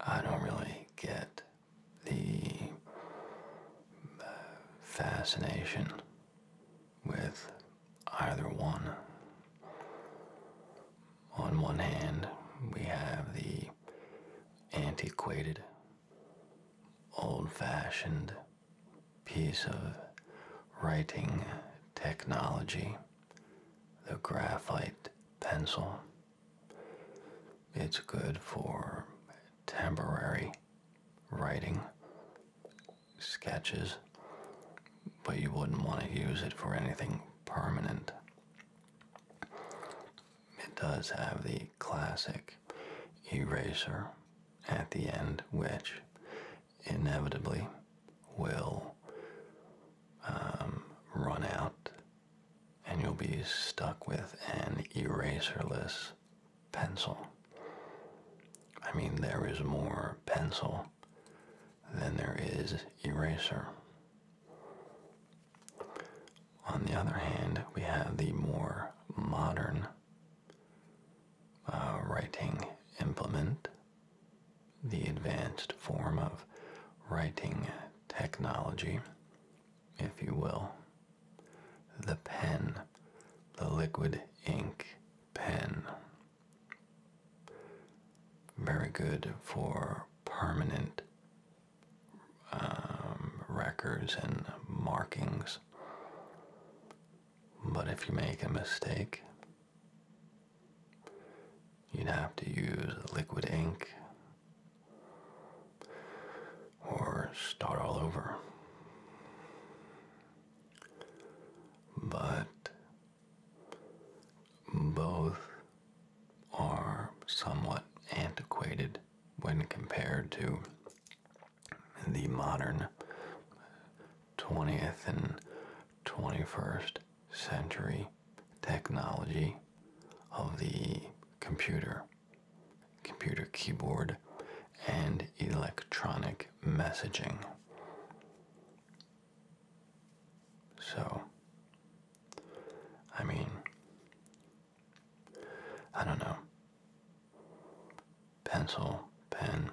I don't really get the uh, fascination with either one. On one hand, we have the antiquated, old fashioned piece of writing technology, the graphite pencil. It's good for temporary writing sketches, but you wouldn't want to use it for anything permanent. It does have the classic eraser at the end, which inevitably will um, run out, and you'll be stuck with an eraserless pencil. I mean, there is more pencil than there is eraser. On the other hand, we have the more modern uh, writing implement, the advanced form of writing technology, if you will, the pen, the liquid ink pen. Very good for permanent um, records and markings. But if you make a mistake, you'd have to use liquid ink or start all over. But both are somewhat antiquated when compared to the modern 20th and 21st century technology of the computer, computer keyboard, and electronic messaging. So, I mean, I don't know pencil, pen.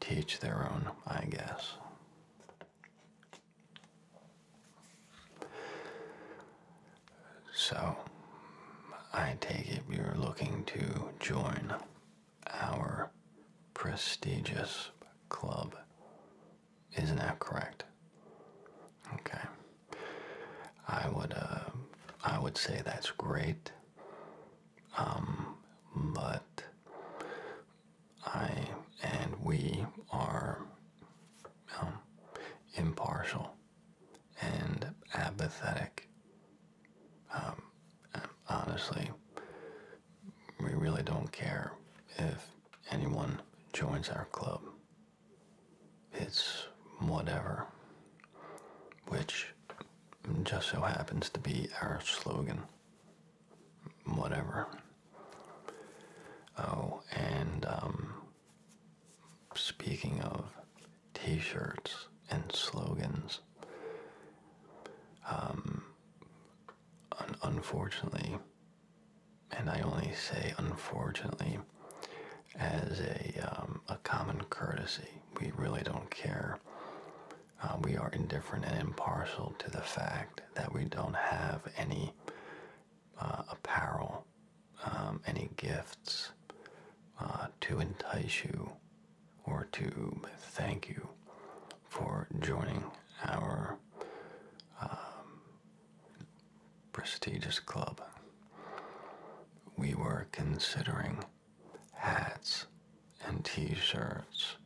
Teach their own, I guess. So, I take it you're looking to join our prestigious club. Isn't that correct? Okay. I would uh, I would say that's great. Um, but I and we are um, impartial and apathetic. Um, honestly, we really don't care if anyone joins our club. It's whatever which just so happens to be our slogan. Whatever. Oh, and um, speaking of t shirts and slogans, um, unfortunately, and I only say unfortunately as a, um, a common courtesy we really don't care. Uh, we are indifferent and impartial to the fact that we don't have any uh, apparel, um, any gifts uh, to entice you or to thank you for joining our um, prestigious club. We were considering hats and t-shirts.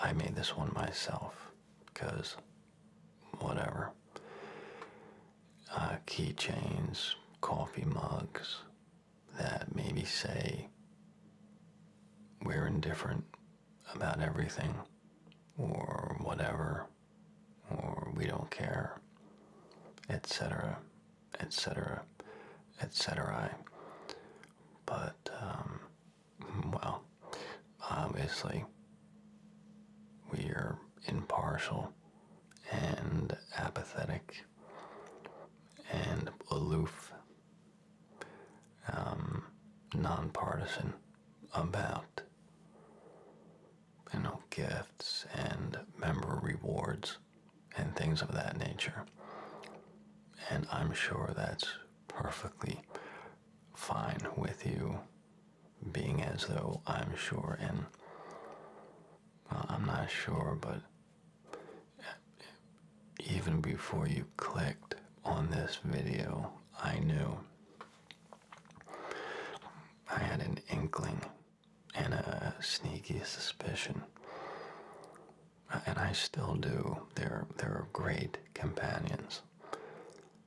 I made this one myself because whatever. Uh, keychains, coffee mugs that maybe say we're indifferent about everything or whatever or we don't care, etc., etc., etc. But, um, well, obviously, we are impartial and apathetic and aloof, um, nonpartisan about you know gifts and member rewards and things of that nature. And I'm sure that's perfectly fine with you, being as though I'm sure, and I'm not sure, but even before you clicked on this video, I knew. I had an inkling and a sneaky suspicion. Uh, and I still do. They're, they're great companions.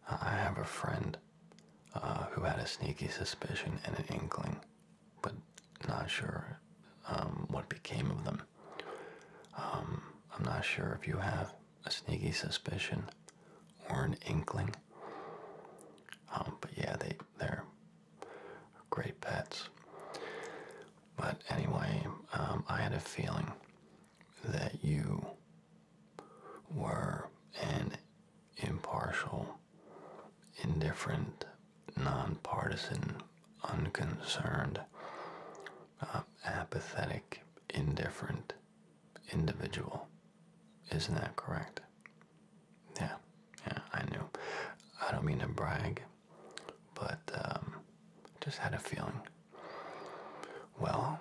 Uh, I have a friend uh, who had a sneaky suspicion and an inkling, but not sure um, what became of them. Um, I'm not sure if you have a sneaky suspicion or an inkling. Um, but yeah, they, they're great pets. But anyway, um, I had a feeling that you were an impartial, indifferent, nonpartisan, unconcerned, uh, apathetic, indifferent individual. Isn't that correct? Yeah, yeah, I knew. I don't mean to brag but um, just had a feeling. Well,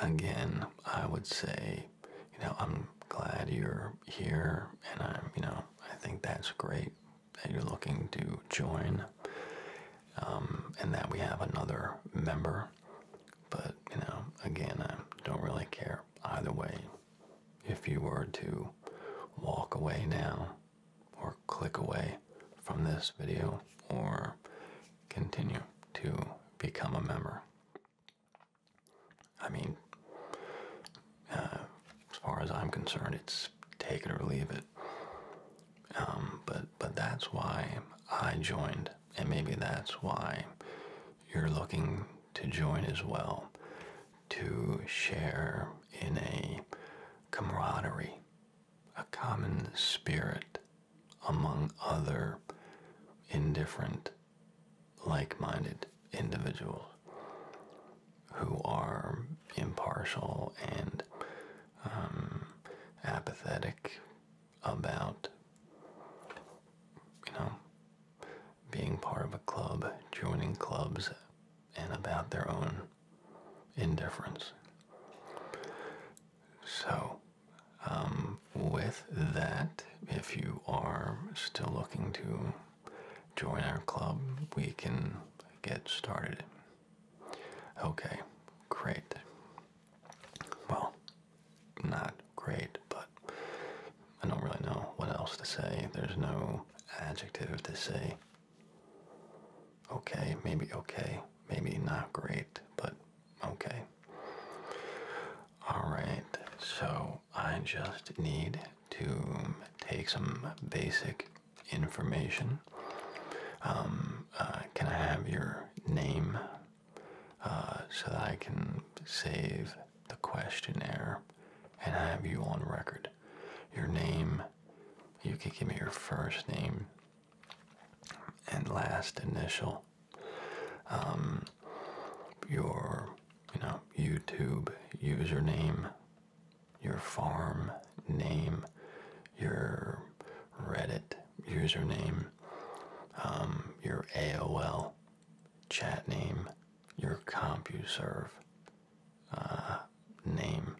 again, I would say, you know, I'm glad you're here, and I'm, you know, I think that's great that you're looking to join, um, and that we have another member. But you know, again, I don't really care either way if you were to walk away now or click away from this video or continue to become a member. I mean, uh, as far as I'm concerned, it's take it or leave it. Um, but but that's why I joined, and maybe that's why you're looking to join as well to share in a camaraderie, a common spirit among other indifferent, like minded individuals who are impartial and um, apathetic about, you know, being part of a club, joining clubs, and about their own indifference. So, um, with that, if you are still looking to join our club, we can get started. Okay, great. Well, not great, but I don't really know what else to say. There's no adjective to say. Okay, maybe okay, maybe not great, but okay. Alright, so I just need to take some basic information. Um, uh, can I have your name uh, so that I can save the questionnaire and have you on record. Your name, you can give me your first name and last initial. Um, your, you know, YouTube username, your farm name, your Reddit username, um, your AOL chat name, your CompuServe uh, name,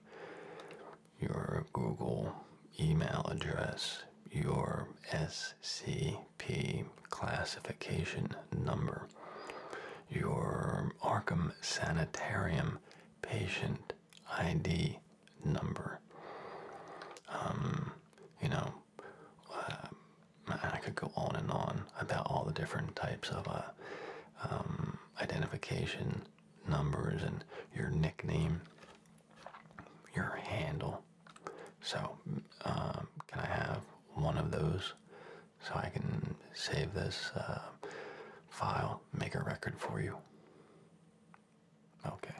your Google email address, your SCP classification number, your Arkham Sanitarium patient ID number. Um, you know, uh, I could go on and on about all the different types of uh, um, identification numbers and your nickname, your handle. So, um, can I have one of those so I can save this uh, file, make a record for you? Okay.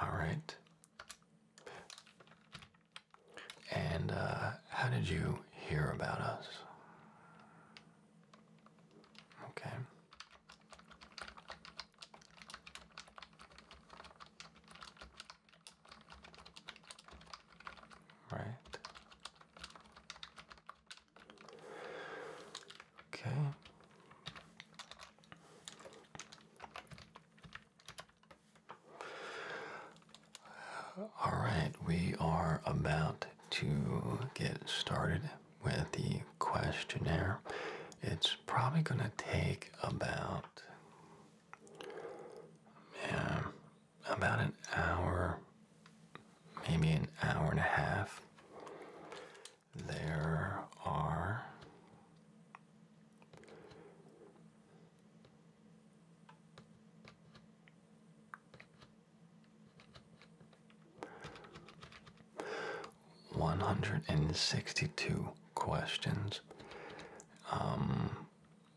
All right. And uh, how did you hear about us? Okay. Right. Okay. All right, we are about to get started with the questionnaire. It's probably going to take about yeah, about an hour maybe an hour and a half, there are one hundred and sixty two questions. Um,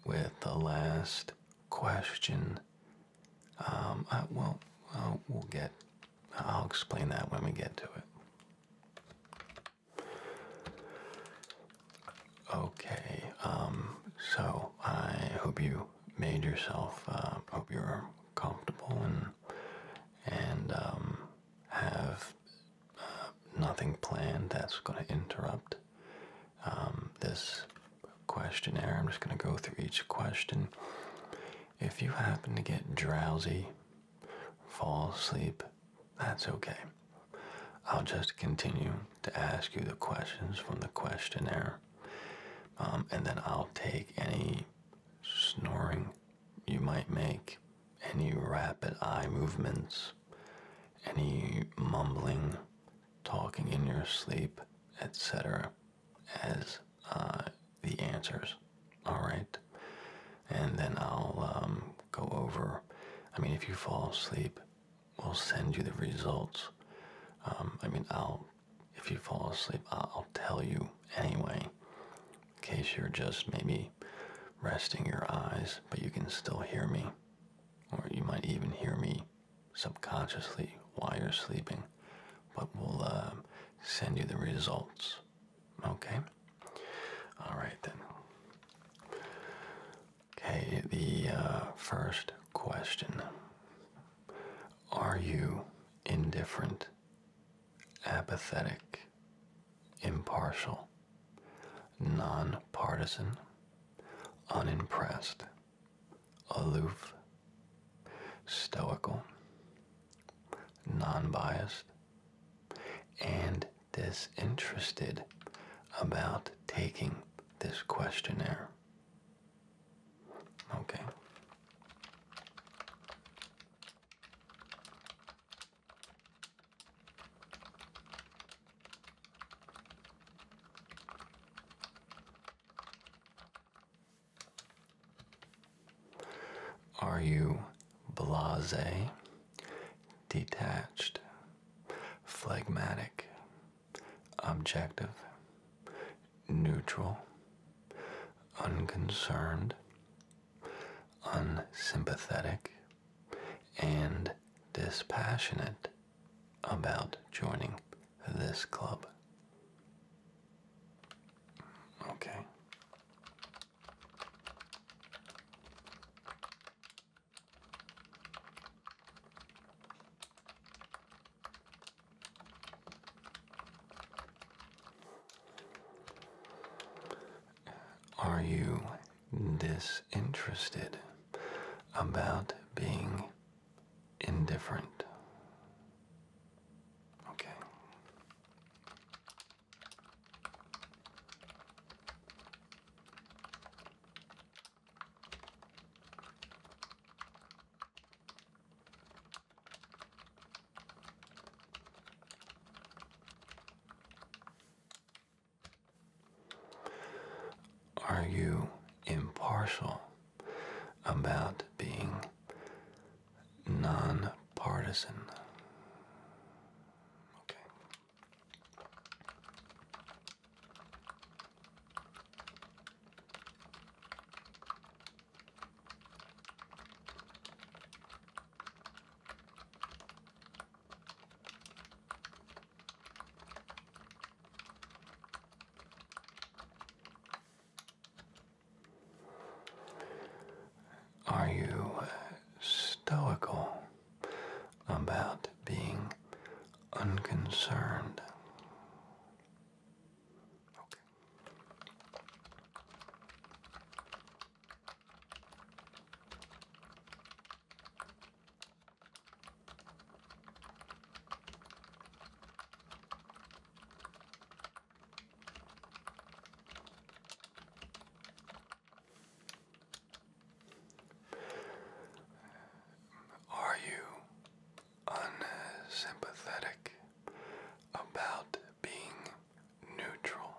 with the last question, um, uh, well, uh, we'll get I'll explain that when we get to it. Okay, um, so I hope you made yourself, uh, hope you're comfortable and, and um, have uh, nothing planned that's going to interrupt um, this questionnaire. I'm just going to go through each question if you happen to get drowsy, fall asleep, that's okay. I'll just continue to ask you the questions from the questionnaire, um, and then I'll take any snoring you might make, any rapid eye movements, any mumbling, talking in your sleep, etc as uh, the answers. All right, and then I'll um, go over. I mean, if you fall asleep, we'll send you the results. Um, I mean, I'll. If you fall asleep, I'll tell you anyway. In case you're just maybe resting your eyes, but you can still hear me, or you might even hear me subconsciously while you're sleeping but we'll um, send you the results. Okay? Alright then. Okay, the uh, first question Are you indifferent, apathetic, impartial, nonpartisan, unimpressed, aloof, stoical, non biased, and disinterested about taking this questionnaire. Okay. Are you blase, detached, phlegmatic, objective, neutral, unconcerned, unsympathetic, and dispassionate about joining this club? Okay. Are you disinterested about being indifferent. Okay. Are you impartial about being nonpartisan. Okay. Are you stoical about being unconcerned? Are you unsympathetic about being neutral?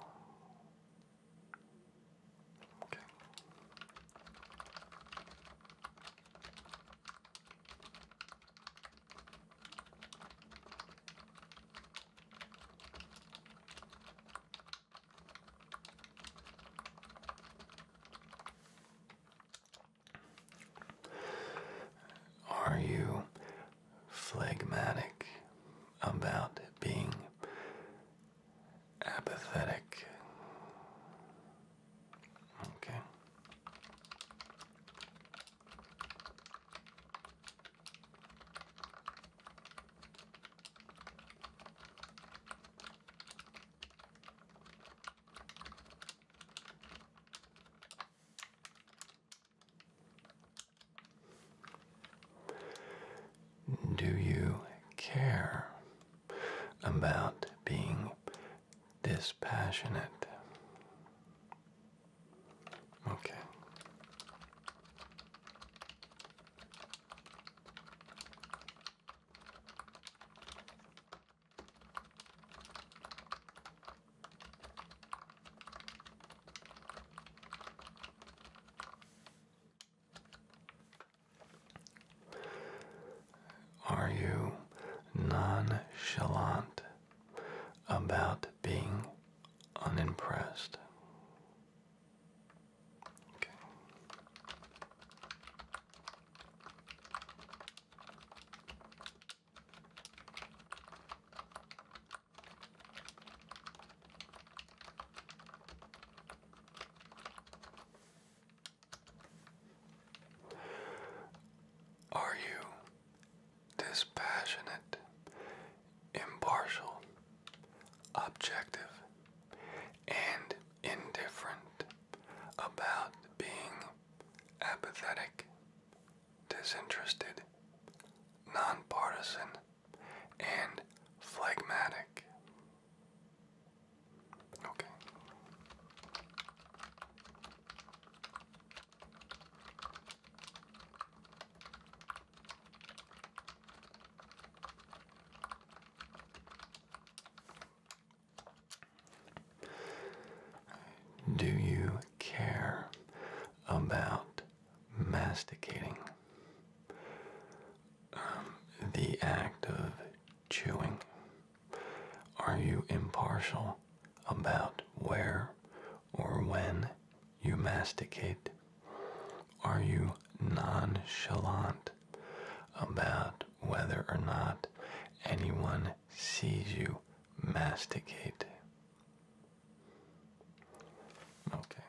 Are you phlegmatic about being apathetic? Okay. Do you care about being dispassionate? Okay. Are you nonchalant about being unimpressed. Are you dispassionate, impartial, objective, and indifferent about being apathetic, disinterested, nonpartisan, and phlegmatic. Okay. Do you care about masticating? Um, the act of chewing. Are you impartial about where or when you masticate? Are you nonchalant about whether or not anyone sees you masticate? Okay.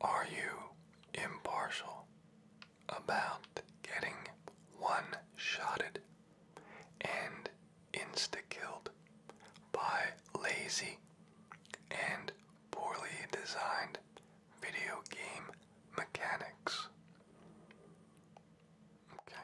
Are you impartial about getting one shotted and insta killed by lazy and poorly designed video game mechanics. Okay.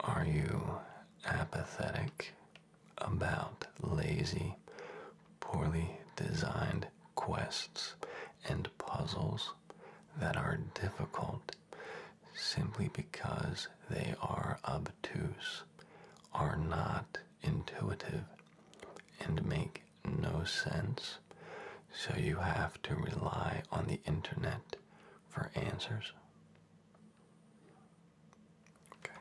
Are you apathetic about lazy, poorly designed quests and puzzles that are difficult simply because they are obtuse, are not intuitive, and make no sense? So you have to rely on the internet for answers. Okay.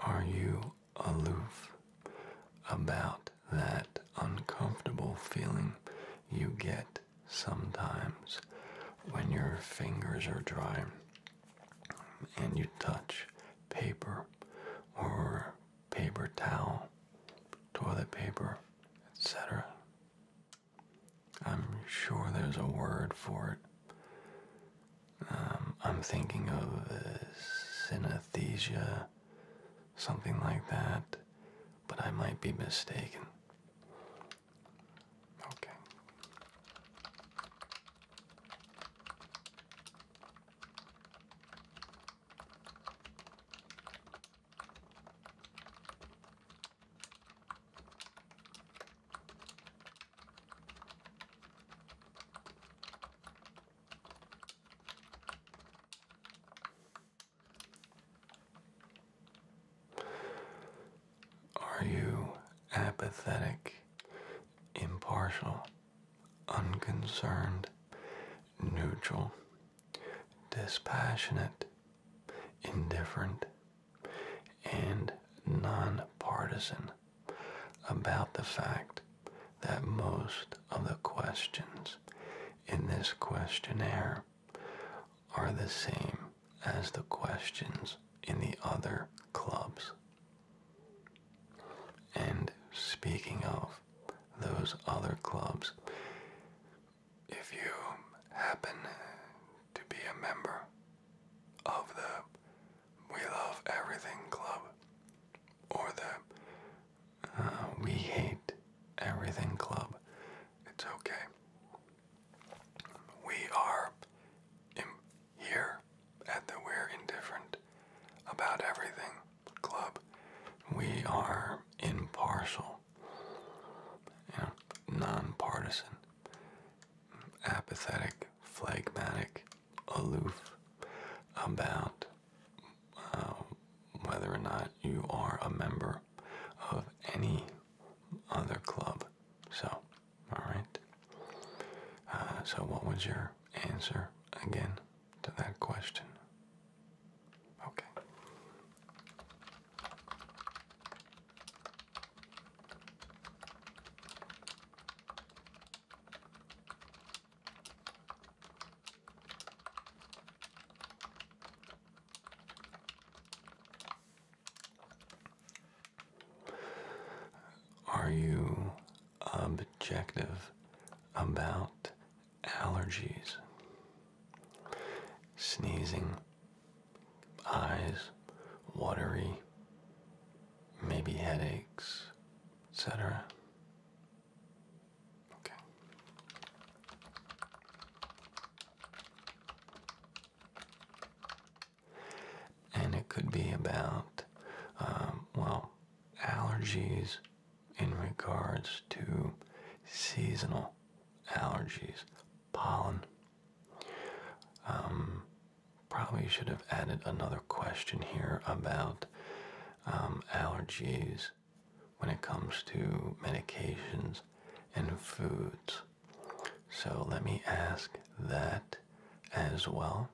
Are you aloof about that uncomfortable feeling you get sometimes when your fingers are dry and you touch paper or paper towel, toilet paper, etc. I'm sure there's a word for it. Um, I'm thinking of uh, synesthesia, something like that, but I might be mistaken. Okay. Are you apathetic, impartial, unconcerned, neutral, dispassionate, indifferent, and nonpartisan? about the fact that most of the questions in this questionnaire are the same as the questions in the other clubs. And speaking of those other clubs, if you happen to be a member of the We Love Everything Club, or the uh, We Hate Everything Club, it's okay. We are here at the We're Indifferent About Everything Club. We are impartial, you know, nonpartisan, apathetic, phlegmatic, aloof about uh, whether or not you are a member of any other club. So, all right. Uh, so, what was your answer again to that question? Okay. Are you um, objective about allergies? Sneezing, eyes, watery, maybe headaches, etc. Okay. And it could be about, um, well, allergies in regards to seasonal allergies, pollen. Um, probably should have added another question here about um, allergies, when it comes to medications and foods. So let me ask that as well.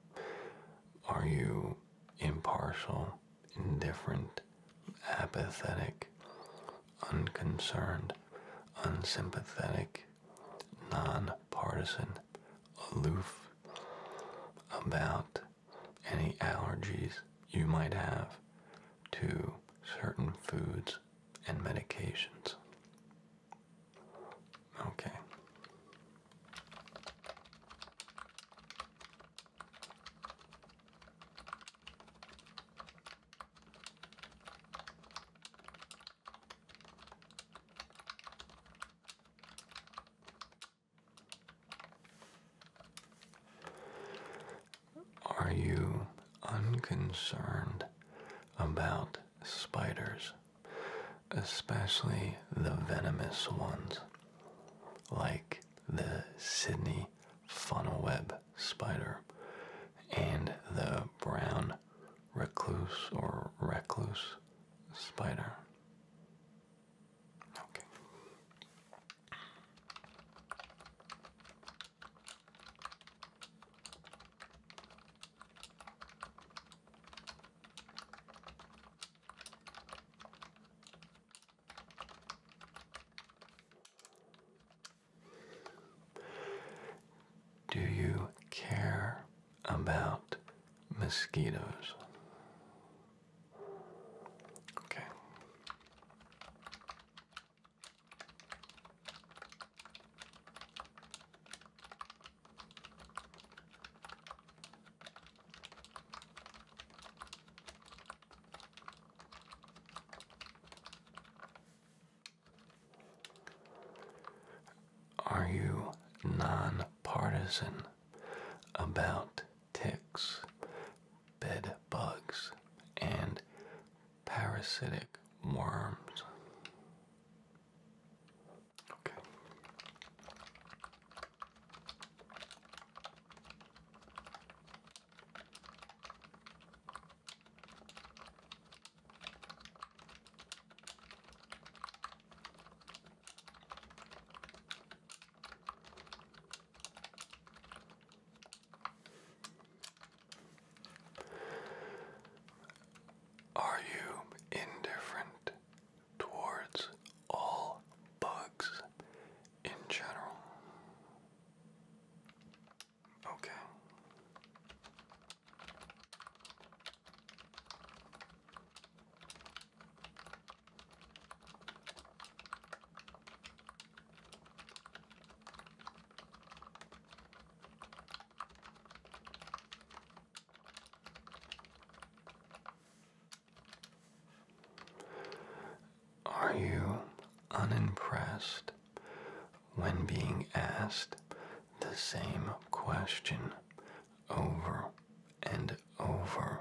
Are you impartial, indifferent, apathetic, unconcerned, unsympathetic, nonpartisan, aloof about any allergies you might have to certain foods and medications. Okay. Are you unconcerned about spiders, especially the venomous ones, like the Sydney funnel web spider and the brown recluse or recluse spider? Okay. Do you care about mosquitoes? Okay. Are you nonpartisan about ticks, bed bugs, and parasitic worms. Are you indifferent towards all bugs in general? Okay. Are you unimpressed when being asked the same question over and over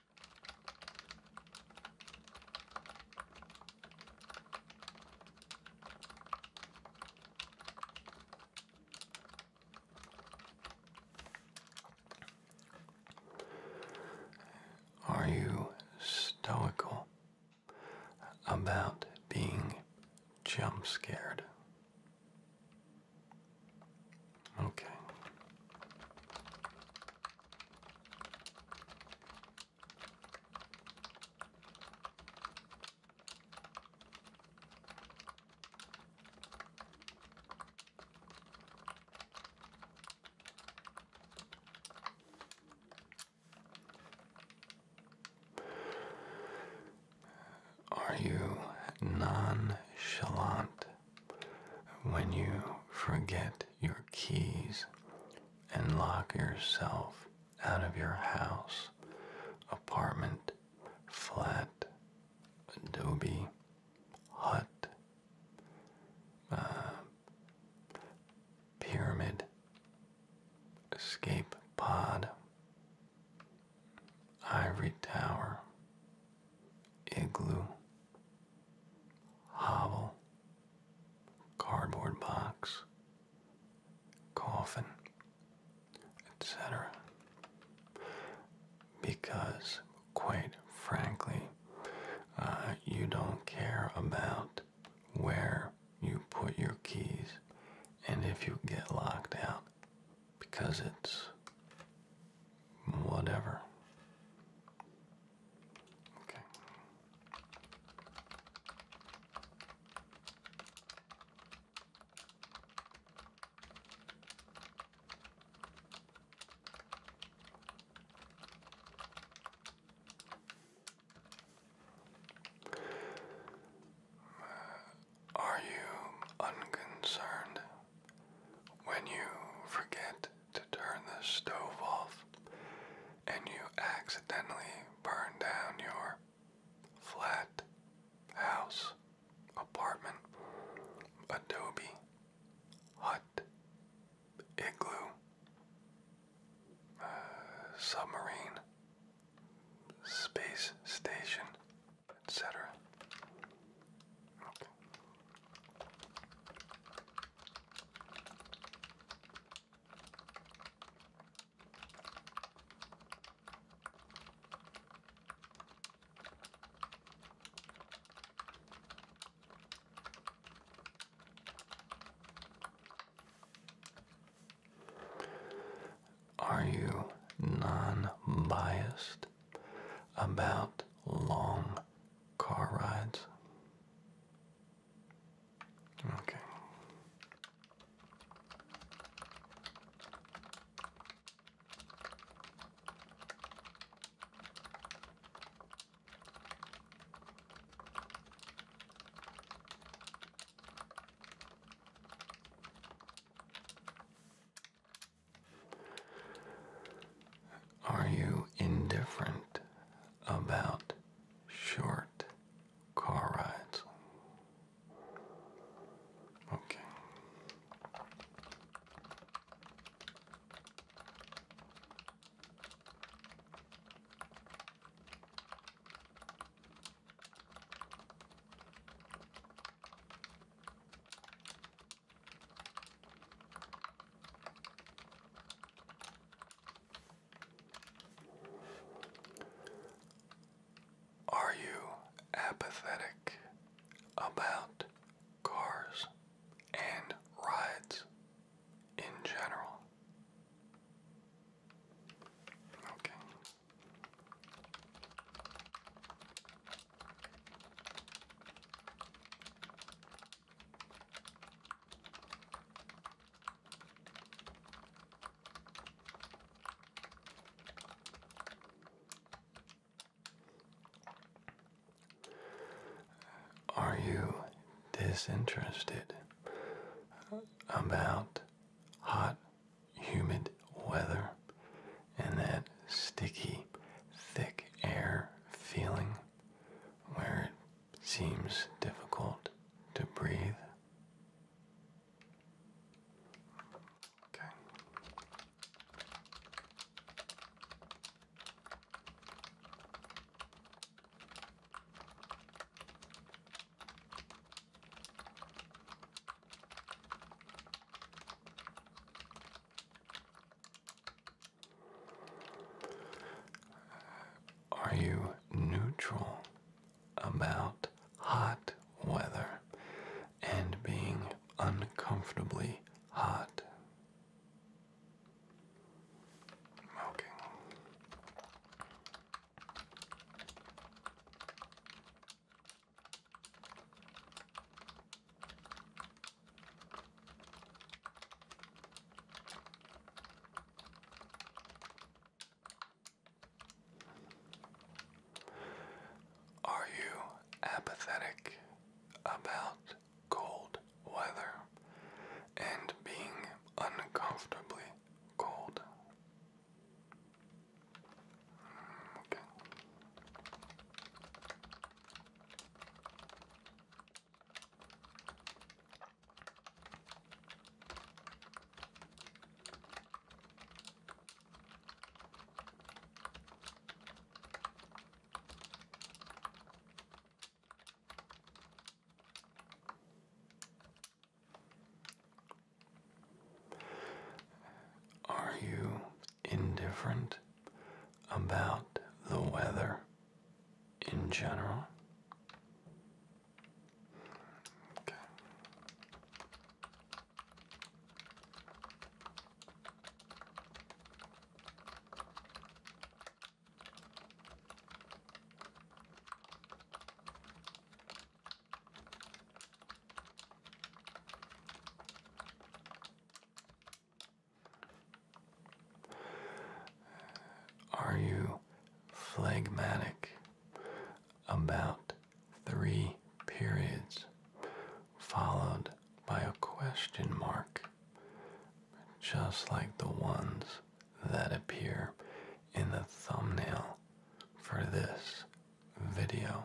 Are you stoical about being jump scared? Okay. Are you nonchalant when you forget your keys and lock yourself out of your house, apartment, flat, adobe, hut, uh, pyramid, escape pod, ivory tower, igloo, hovel, cardboard box, coffin, etc. Because, quite frankly, uh, you don't care about where you put your keys and if you get locked out because it's Whatever. Okay. Are you unconcerned when you forget to turn the stove off and you accidentally burn down your flat, house, apartment, adobe, hut, igloo, uh, submarine, space station, etc. Are you non biased? about long car rides. Okay. Are you indifferent about short car rides? Okay. Are you apathetic about cars and rides in general? Okay. Are you disinterested about hot, humid weather and that sticky, thick air feeling? where it seems difficult to breathe. Are you neutral about hot weather and being uncomfortably hot? Okay. Are you apathetic about cold weather and being uncomfortably cold? Mm, are you indifferent about the weather? in general. Are you phlegmatic about three periods followed by a question mark, just like the ones that appear in the thumbnail for this video?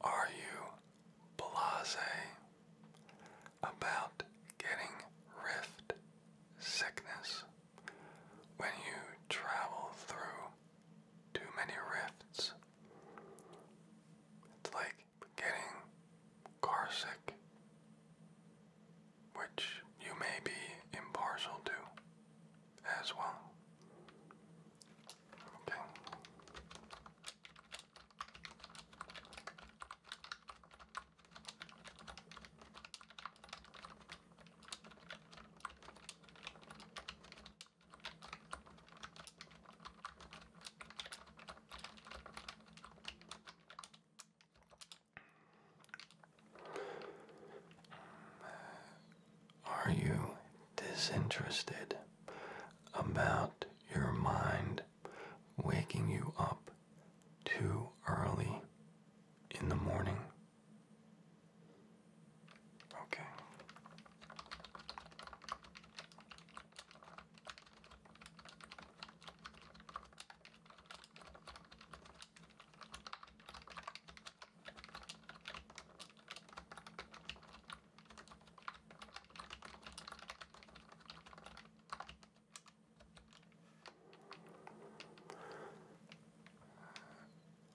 Are you blase about getting rift sickness when you travel through too many rifts? It's like getting car which you may be impartial to as well. Okay. Are you disinterested about your mind waking you up too early in the morning? Okay.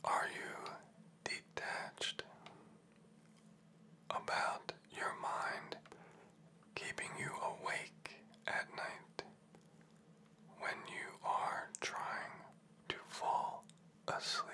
Are you detached about your mind keeping you awake at night when you are trying to fall asleep?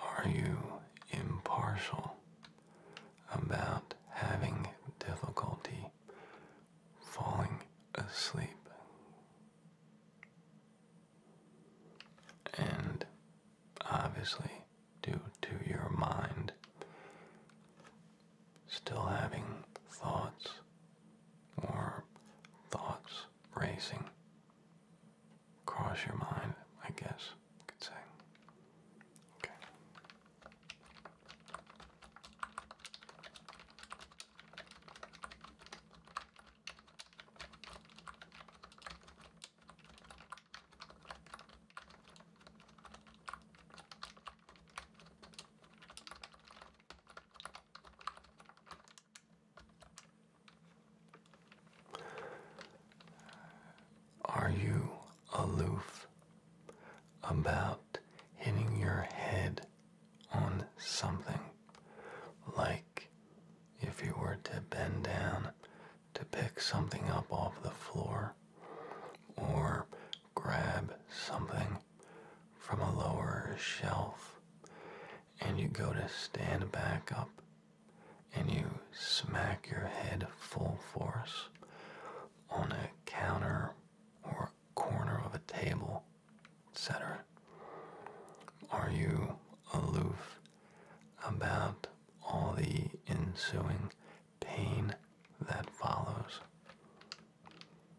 Are you impartial about having difficulty falling asleep? And obviously, due to your mind still having thoughts or thoughts racing across your mind, I guess you could say. Are you aloof about hitting your head on something? Like if you were to bend down to pick something up off the floor or grab something from a lower shelf and you go to stand back up and you smack your head full force on a counter or corner of a table, etc. Are you aloof about all the ensuing pain that follows?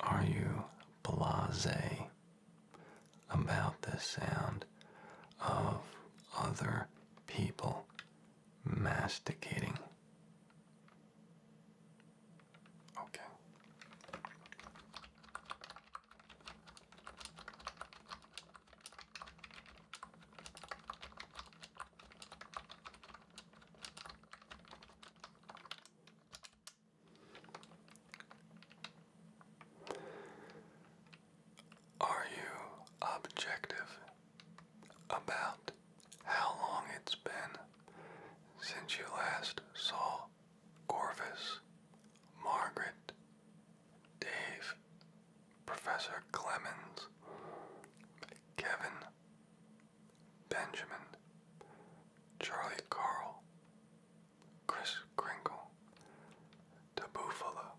Are you blasé about the sound of other people masticating? Okay. Are you objective about how long it's been since you last saw Corvus, Margaret, Dave, Professor Clemens, Kevin, Benjamin, Charlie Carl, Chris Kringle, the Buffalo,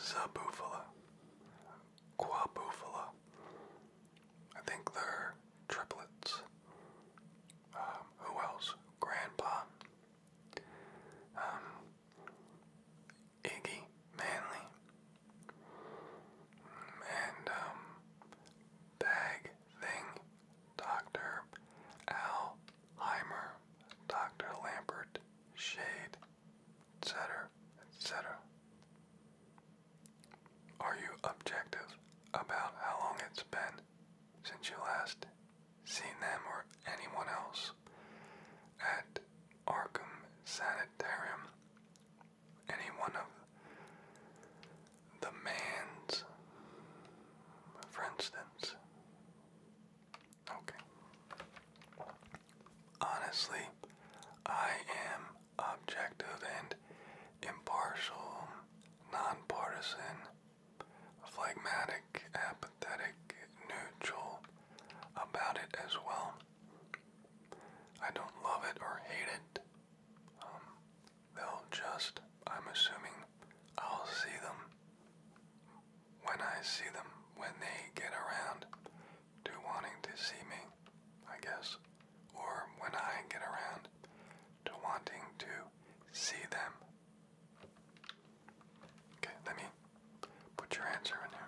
Zabufala, I think they're triplets. Um, who else? Grandpa. Um, Iggy Manley. And um, Bag Thing, Dr. Alheimer, Dr. Lambert, Shade, etc., etc. Are you objective about how long it's been since you last seen them or anyone else at Arkham Sanitarium? any one of the man's, for instance. Okay. Honestly, I am objective and impartial, nonpartisan, phlegmatic, apathetic, neutral about it as well. I don't love it or hate it. Um, They'll just, I'm assuming, I'll see them when I see them, when they get around to wanting to see me, I guess, or when I get around to wanting to see them. Okay, let me put your answer in here.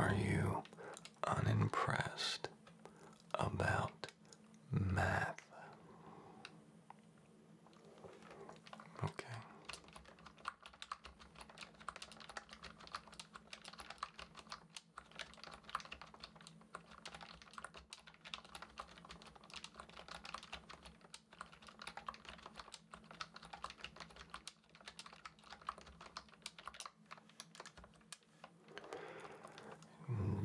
Are you unimpressed about math. Okay.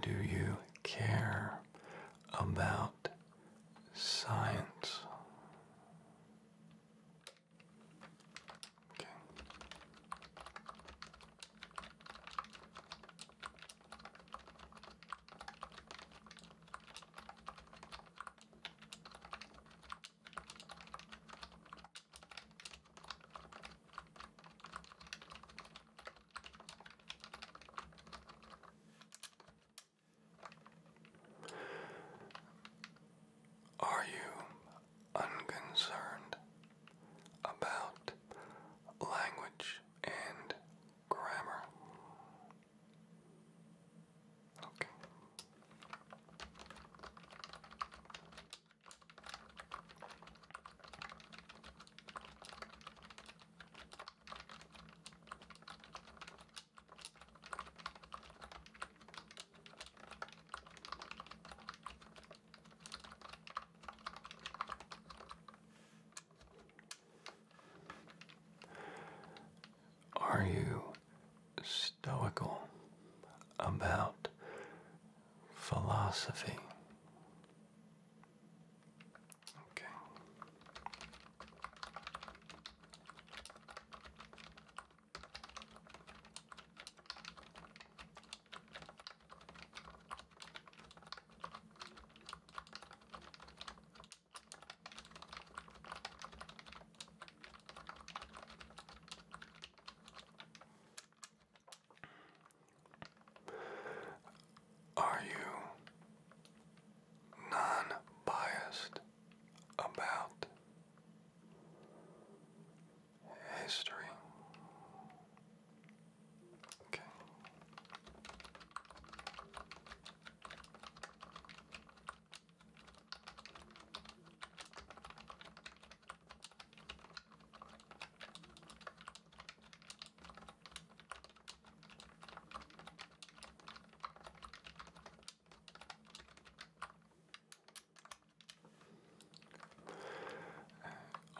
Do you care about science? Are you unconcerned about language and grammar? Okay. Are you stoical about philosophy. Okay. Are you non biased about history?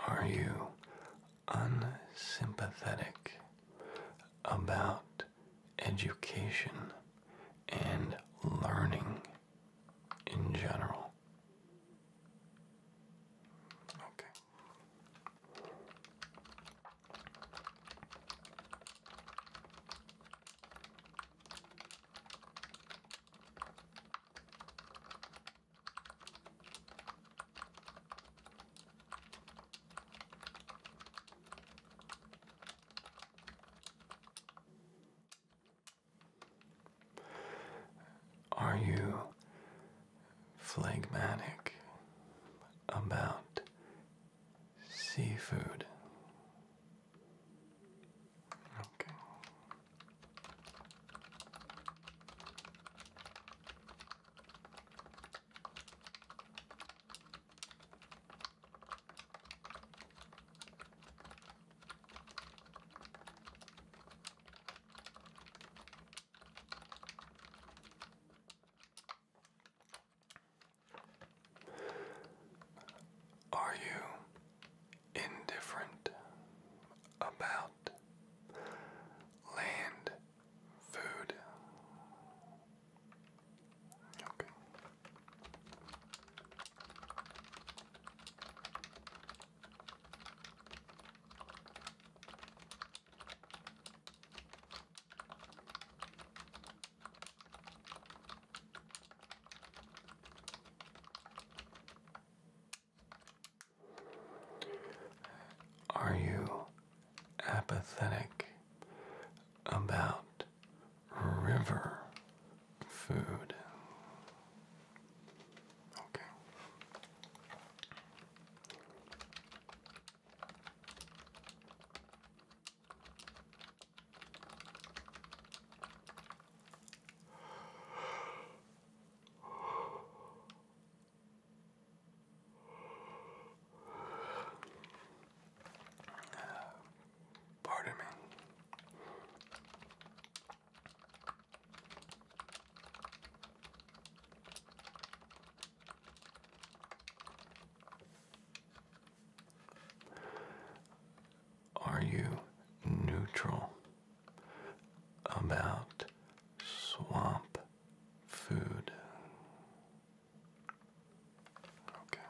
Are you unsympathetic about education and learning? in general. Okay. Are you phlegmatic about seafood? Are you indifferent about land food? Okay. Are you apathetic about river food? Okay. Pardon me. Are you neutral about swamp food? Okay.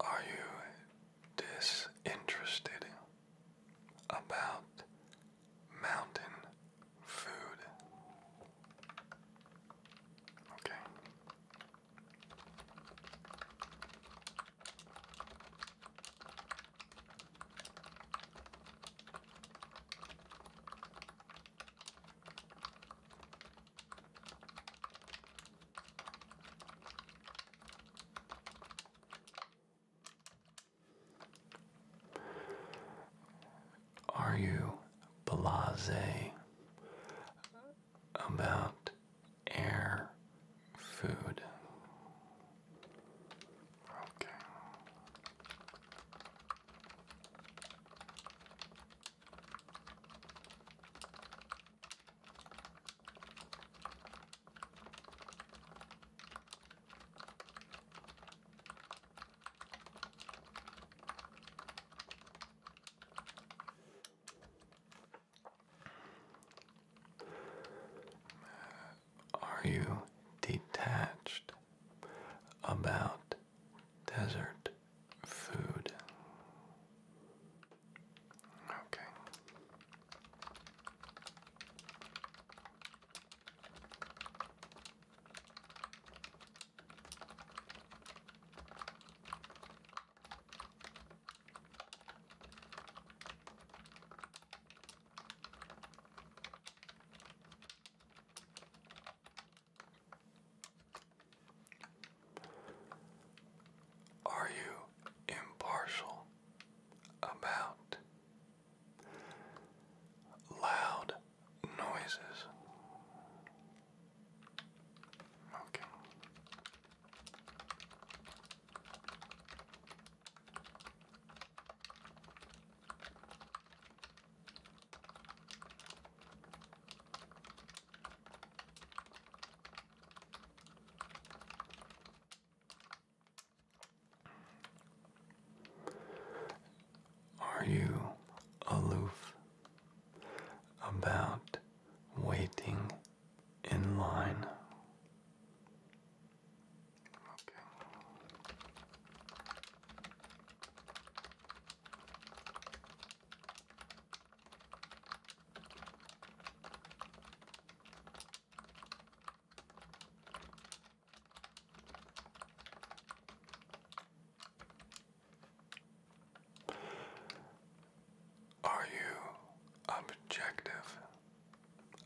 Are you disinterested about mountain food. Okay. Are you blasé about air food? Are you detached about desert food? Okay. Are you impartial about loud noises. Okay. Are you aloof about waiting in line? Are you objective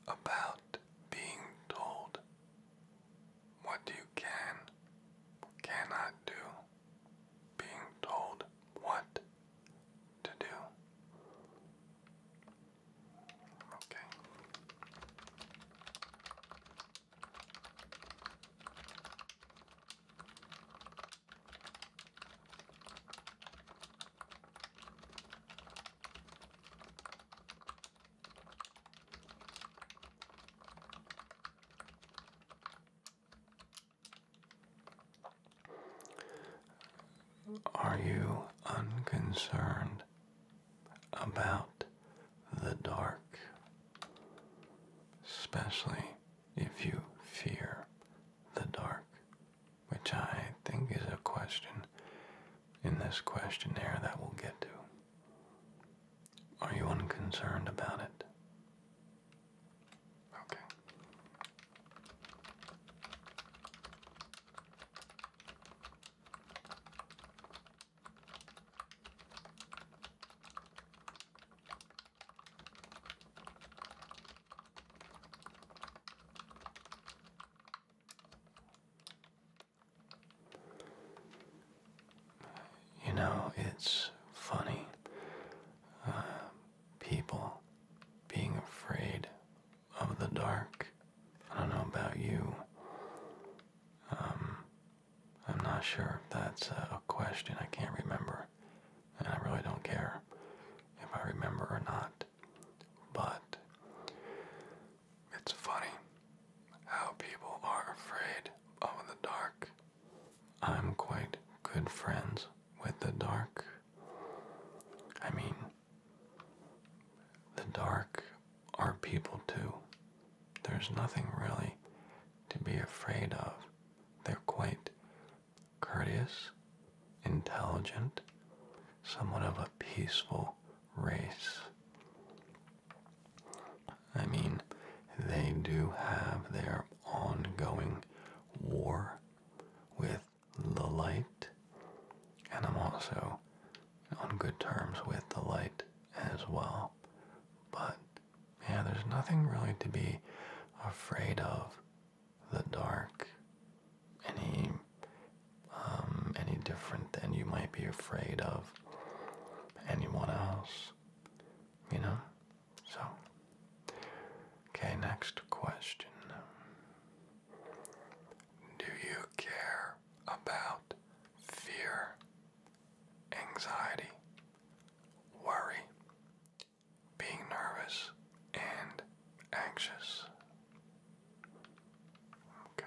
about being told what you can cannot do? Being told what to do? Okay. Are you unconcerned about the dark, especially if you fear the dark, which I think is a question in this questionnaire that we'll get to. Are you unconcerned about it? Okay. You know, it's funny. Uh, people being afraid of the dark. I don't know about you. Um, I'm not sure if that's a question. I can't remember. And I really don't care if I remember or not. But it's funny how people are afraid of the dark. I'm quite good friends with the dark. I mean, the dark are people too. There's nothing really to be afraid of. They're quite courteous, intelligent, somewhat of a peaceful race. I mean, they do have their ongoing war with the light, and I'm also on good terms with the light as well. But yeah, there's nothing really to be afraid of. The dark, any, um, any different than you might be afraid of anyone else. You know, so. Okay, next question. Do you care about fear? anxiety, worry, being nervous, and anxious. Okay.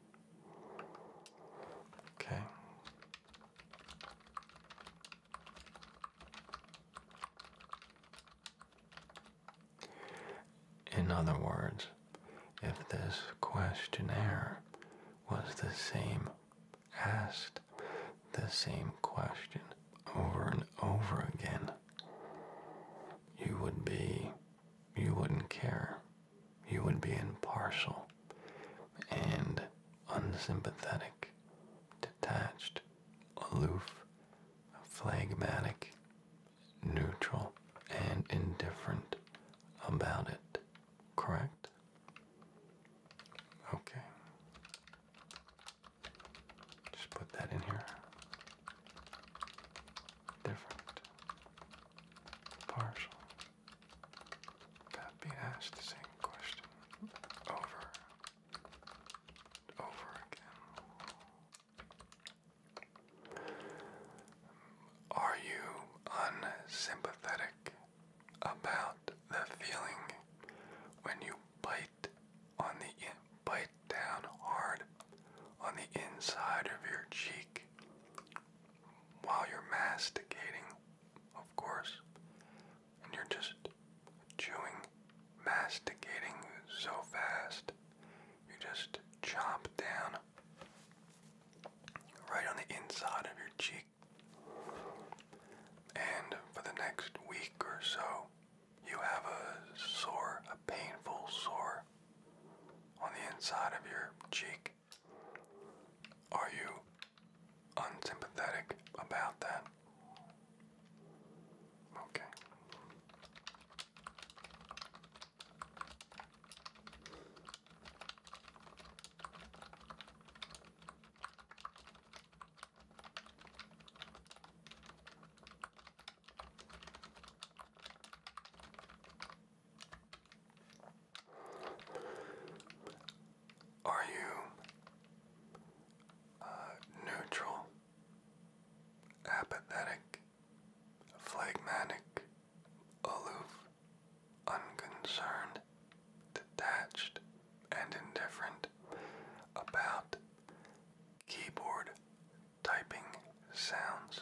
Okay. In other words, if this questionnaire was the same, asked the same question over and over again, you would be, you wouldn't care you would be impartial and unsympathetic, detached, aloof, phlegmatic, neutral, and indifferent about it, correct? Okay. Just put that in here. Different partial. That being asked the same question over over again. Are you unsympathetic about the feeling when you bite on the bite down hard on the inside of your cheek while you're masticating, of course, and you're just chewing, masticating so fast, you just chop down right on the inside of your cheek. And for the next week or so, you have a sore, a painful sore on the inside of your cheek. Are you unsympathetic about that? Okay. Are you uh, neutral, apathetic, phlegmatic, aloof, unconcerned, detached, and indifferent about keyboard typing sounds?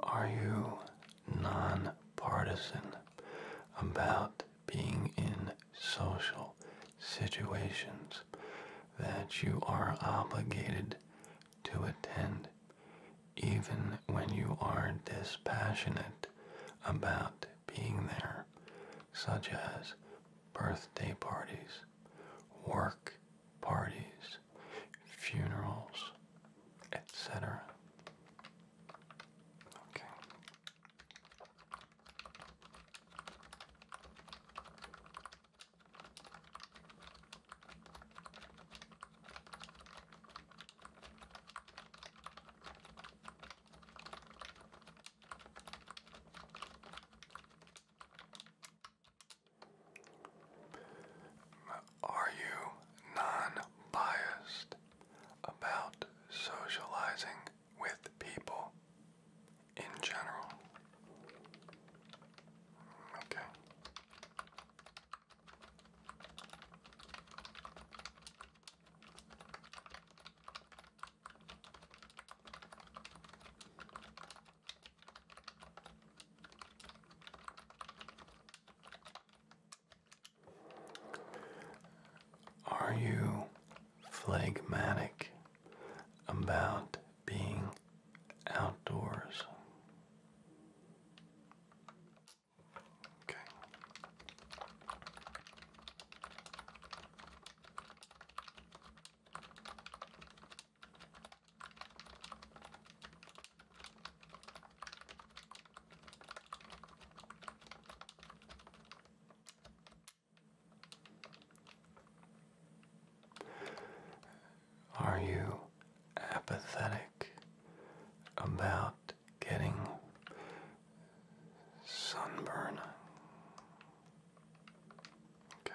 Are you nonpartisan about being in social situations that you are obligated to attend, even when you are dispassionate about being there, such as birthday parties, work parties, funerals, etc. Okay. Are you non-biased about socializing with people in general? Okay. Are you phlegmatic about being outdoors? Okay. Are you apathetic about getting sunburn? Okay.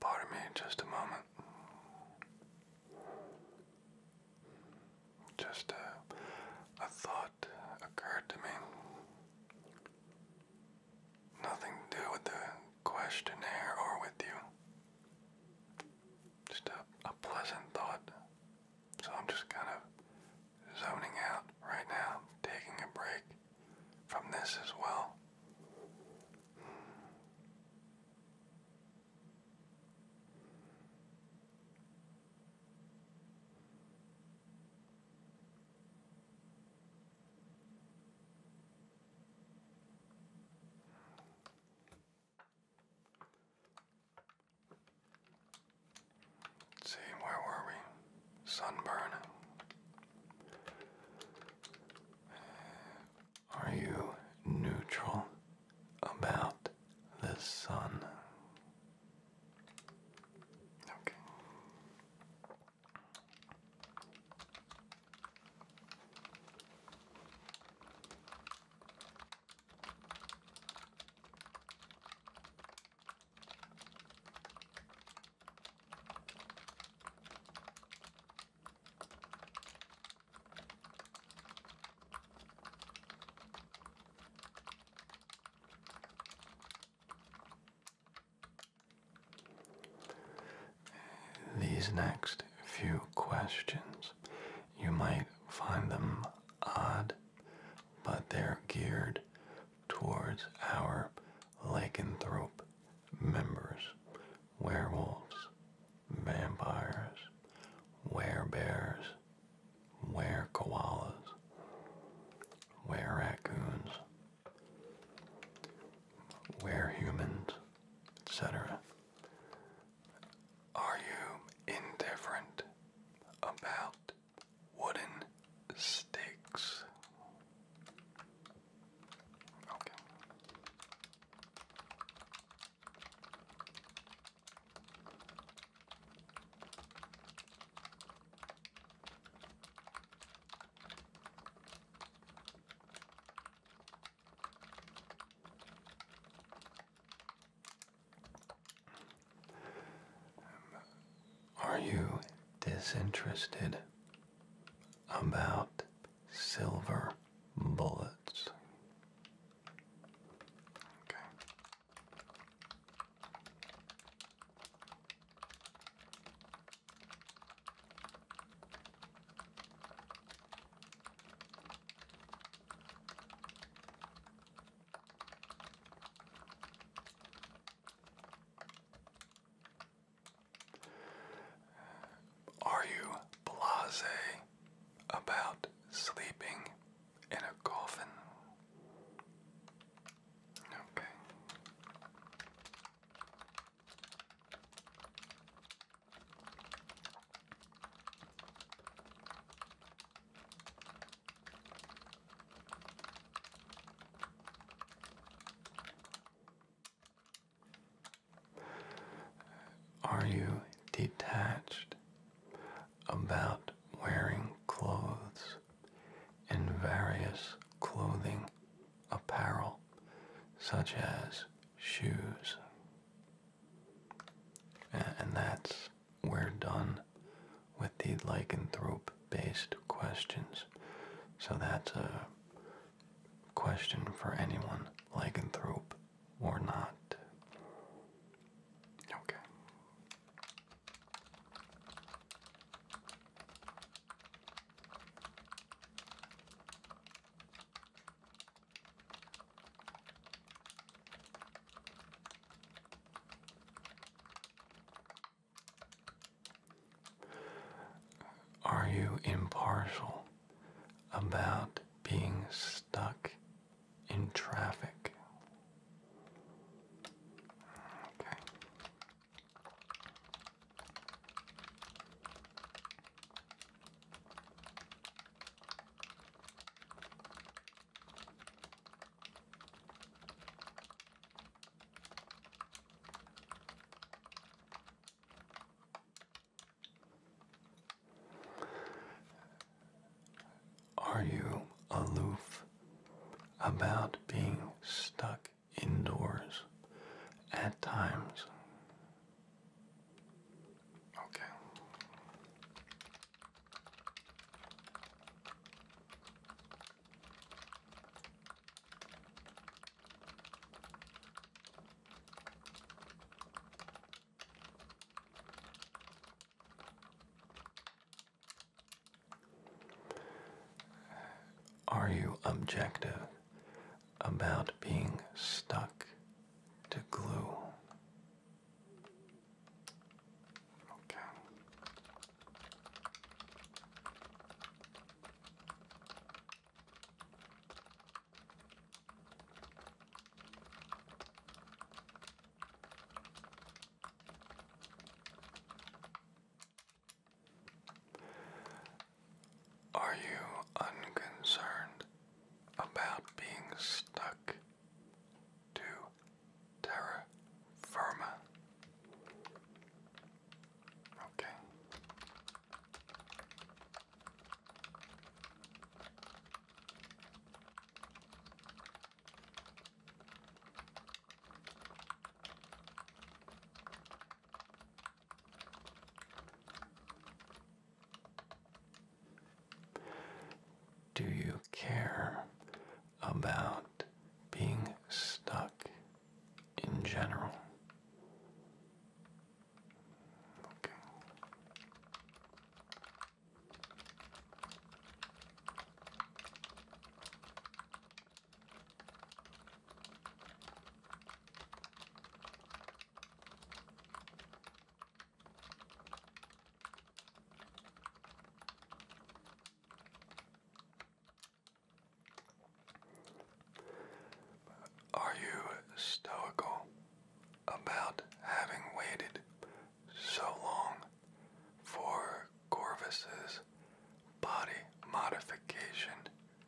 Pardon me just a moment. Just uh, a, thought occurred to me. Nothing to do with the questionnaire or with you. Just a pleasant thought so I'm just kind of zoning out right now, taking a break from this as well see, where were we? Sunburn. Are you neutral about the sun? Okay. These next few questions, you might find them odd but they're geared towards our lycanthrope members, werewolves, vampires, werebears, were-koalas, were-raccoons, were-humans, etc. Are you indifferent about wooden sticks? Um, are you disinterested about silver bullets? Okay. Are you blase about sleeping in a coffin? Okay. Are you detached about wearing clothes in various clothing apparel such as shoes? And that's we're done with the lycanthrope based questions. So that's a question for anyone, lycanthrope or not. Okay. Are you impartial about being stuck in traffic? Are you aloof about being stuck indoors at times? Okay. Are you objective about being stuck to glue? Okay. Are you unconcerned about being stuck to terra firma. Okay. Do you care about being stuck in general? Are you stoical about having waited so long for Corvus's body modification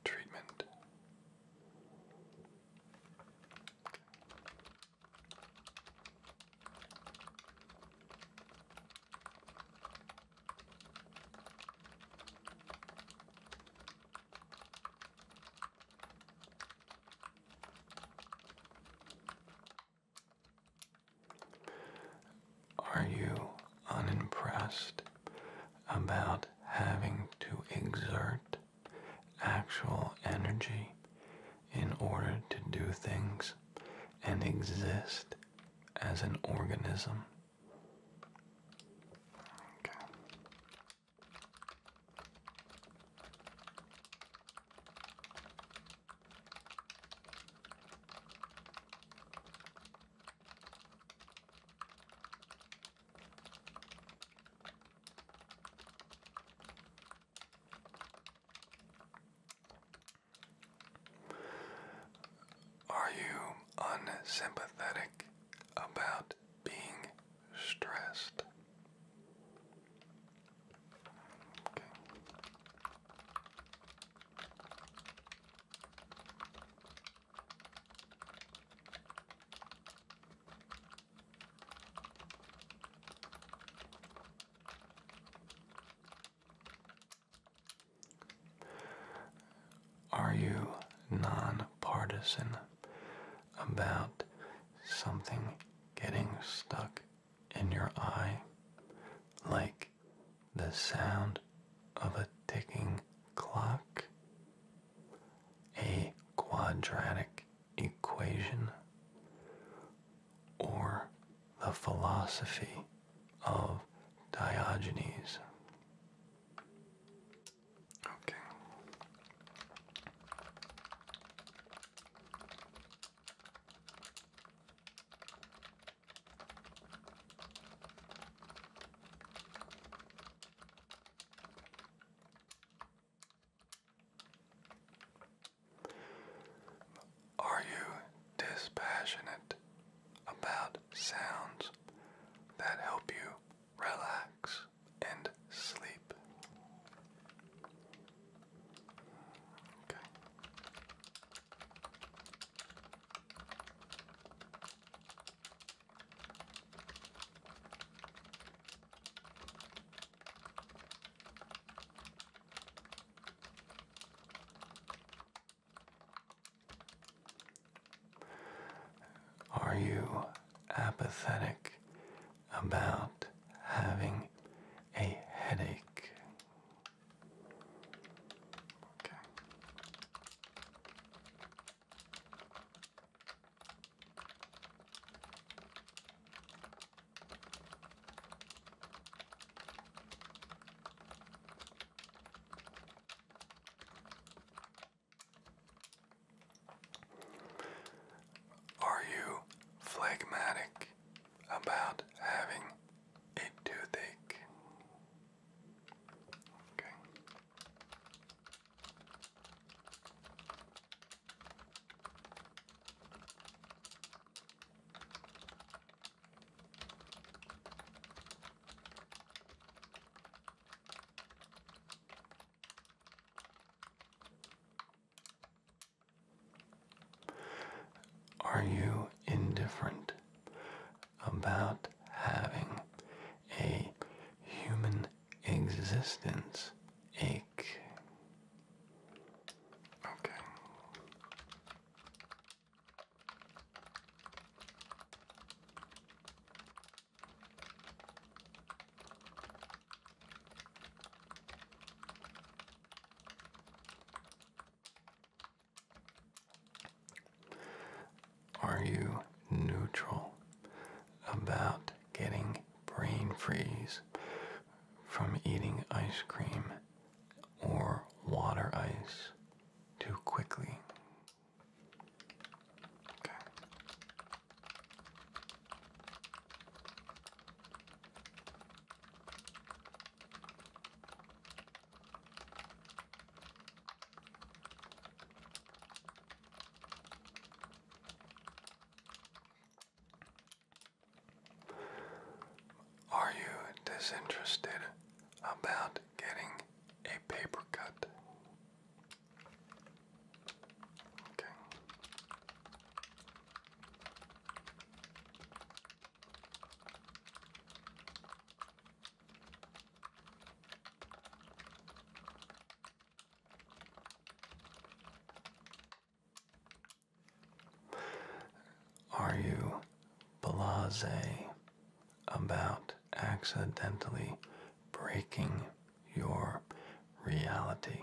treatment? Are you unimpressed about having to exert actual energy in order to do things and exist as an organism. Are you unsympathetic about being stressed? Are you nonpartisan about something getting stuck in your eye, like the sound of a ticking clock, a quadratic equation, or the philosophy of Diogenes. Okay. Are you dispassionate about sounds that help you relax and sleep? Are you apathetic about having a headache? Are you phlegmatic about having a toothache? Okay. Are you indifferent about having a human existence ache? Okay. Are you neutral about getting brain freeze from eating ice cream or water ice too quickly. Are you disinterested about getting a paper cut? Are you blase about accidentally breaking your reality?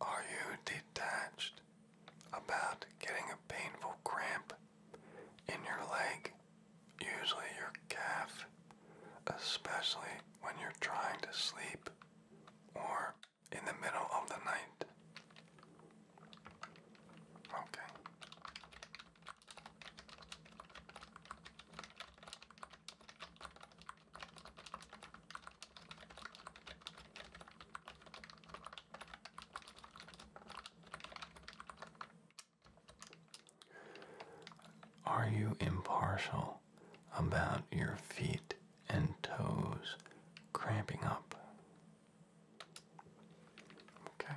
Are you detached about getting a painful cramp in your leg, usually your calf, especially when you're trying to sleep or in the middle of the night? Okay. Are you impartial about your feet and toes cramping up? Okay.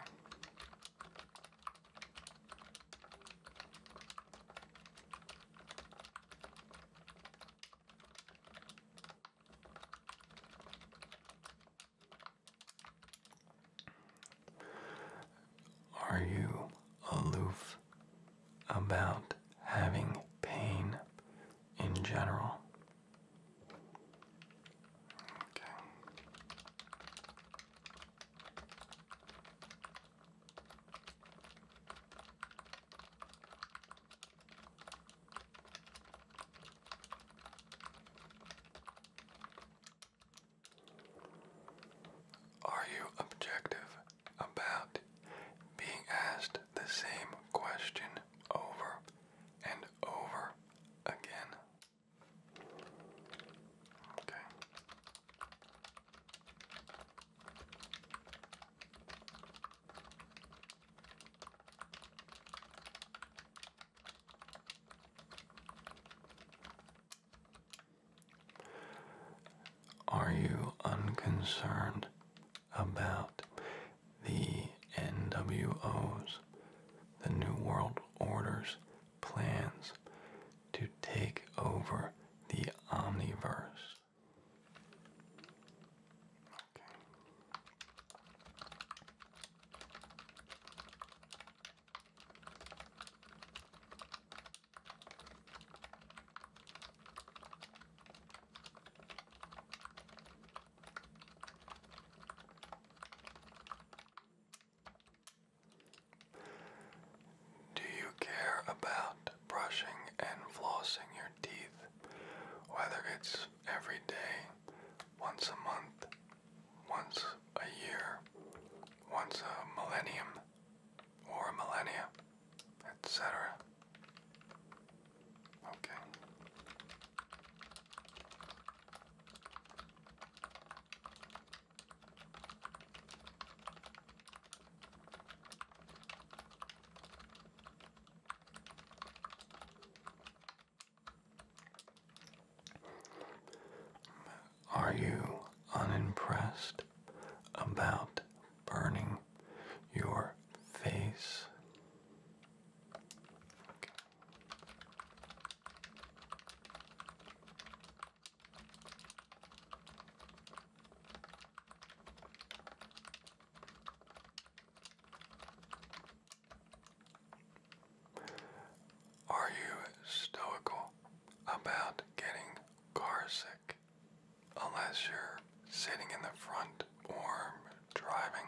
Are you aloof about having pain in general? Are you objective about being asked the same question over and over again? Are you unconcerned about the NWOs, the New World Orders, plans to take over the omniverse. Do you care about brushing and flossing your teeth, whether it's every day, once a month, once a year, once a millennium, or a millennia, etc.? Okay. Are you unimpressed about burning your face? Are you stoical about getting carsick, Unless you're sitting in the front or driving.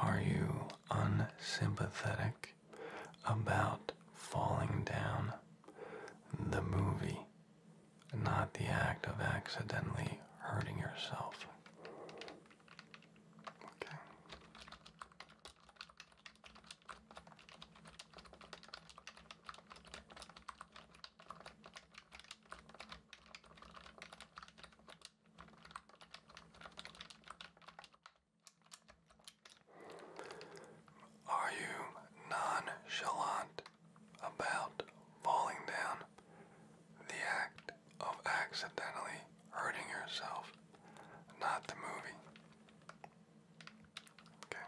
Are you unsympathetic about falling down? The movie, not the act of accidentally hurting yourself. Okay. Are you nonchalant about falling down? The act of accidentally hurting yourself, not the movie. Okay.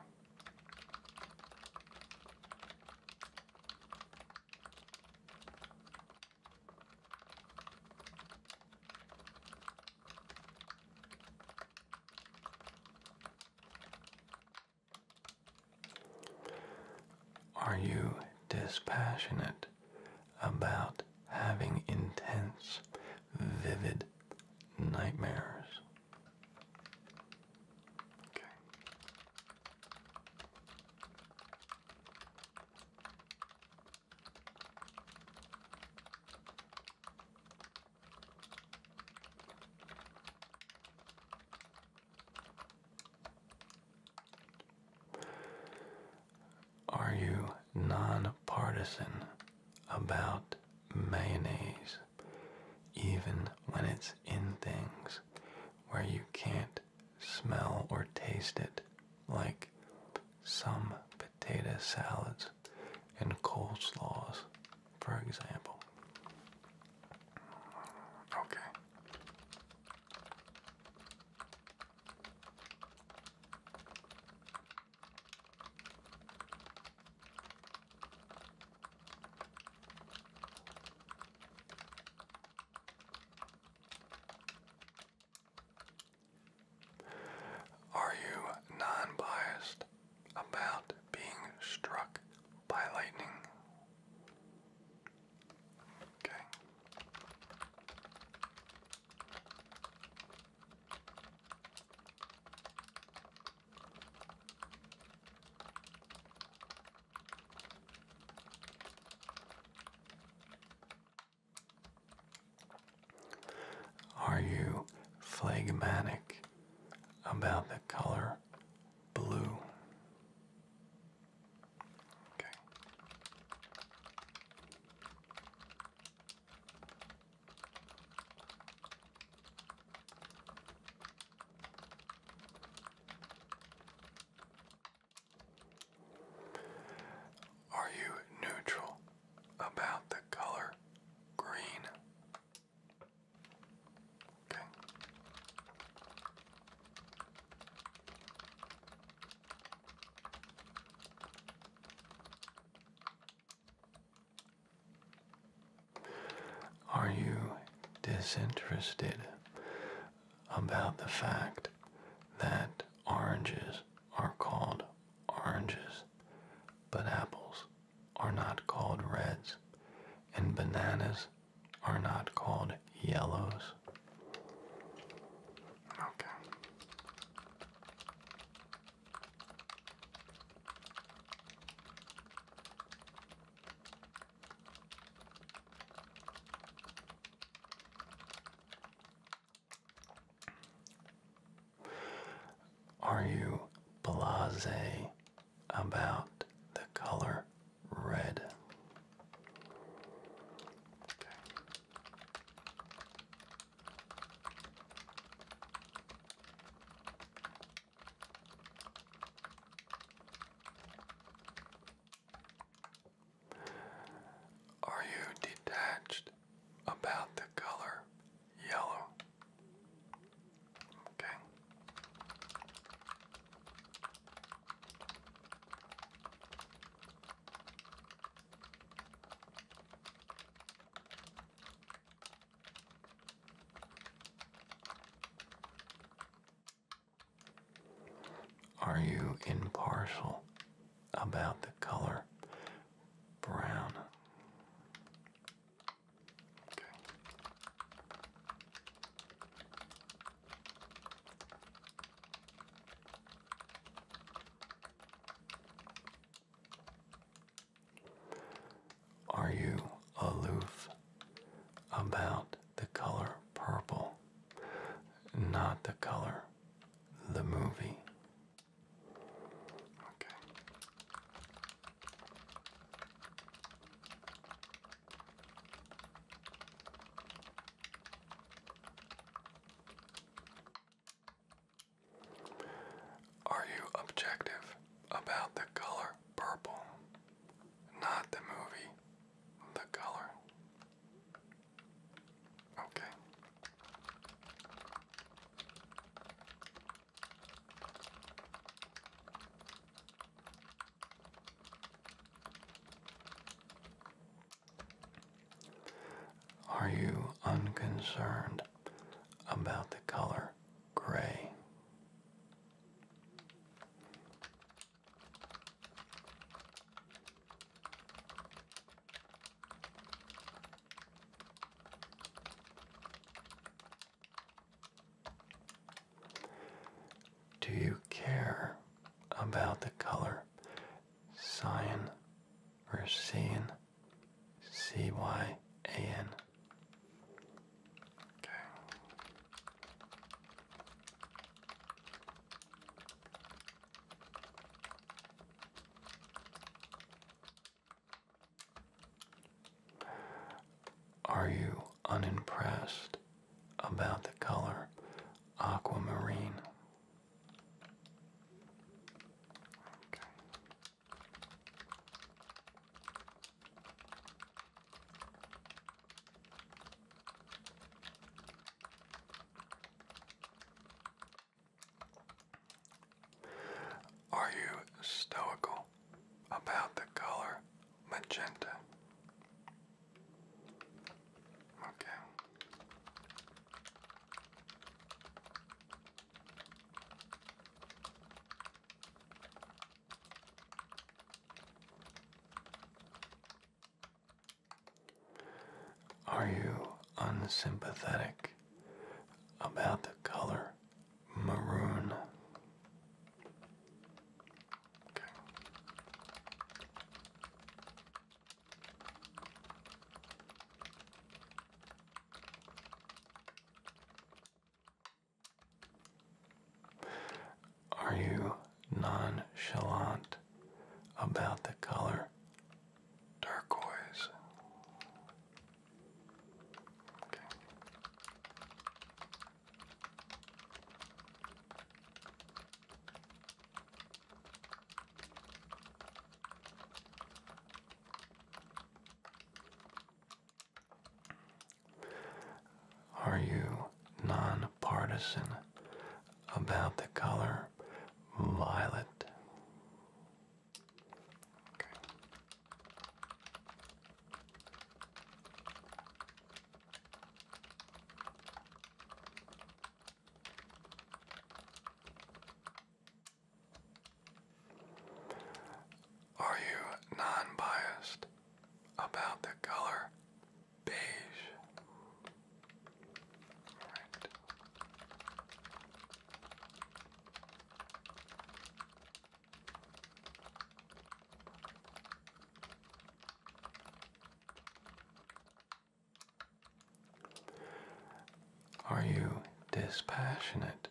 Are you dispassionate about having intense, vivid nightmares? Are you nonpartisan about mayonnaise, even when it's in things where you can't smell or taste it, like some potato salads and coleslaws, for example? Okay. Are you non biased about being struck by lightning? Are you phlegmatic about the color blue? Okay. Are you neutral about the color green? Are you disinterested about the fact that oranges are called oranges, but apples are not called reds, and bananas are not called yellows. Okay. Are you blase about the color red. Are you detached about the color yellow? Okay. Are you impartial about the color brown? Are you aloof about the color purple? Not the color, the movie. Okay. Are you objective about the color purple? Not the movie, the color. Okay. Are you unconcerned about the color gray? Do you care about the color cyan or cyan? C Y A N. Okay. Are you unimpressed about the color aquamarine. Are you stoical about the color magenta? Okay. Are you unsympathetic about the color maroon? Are you nonchalant about the color turquoise? Are you nonpartisan about the color violet? Are you non biased about the color beige? Are you dispassionate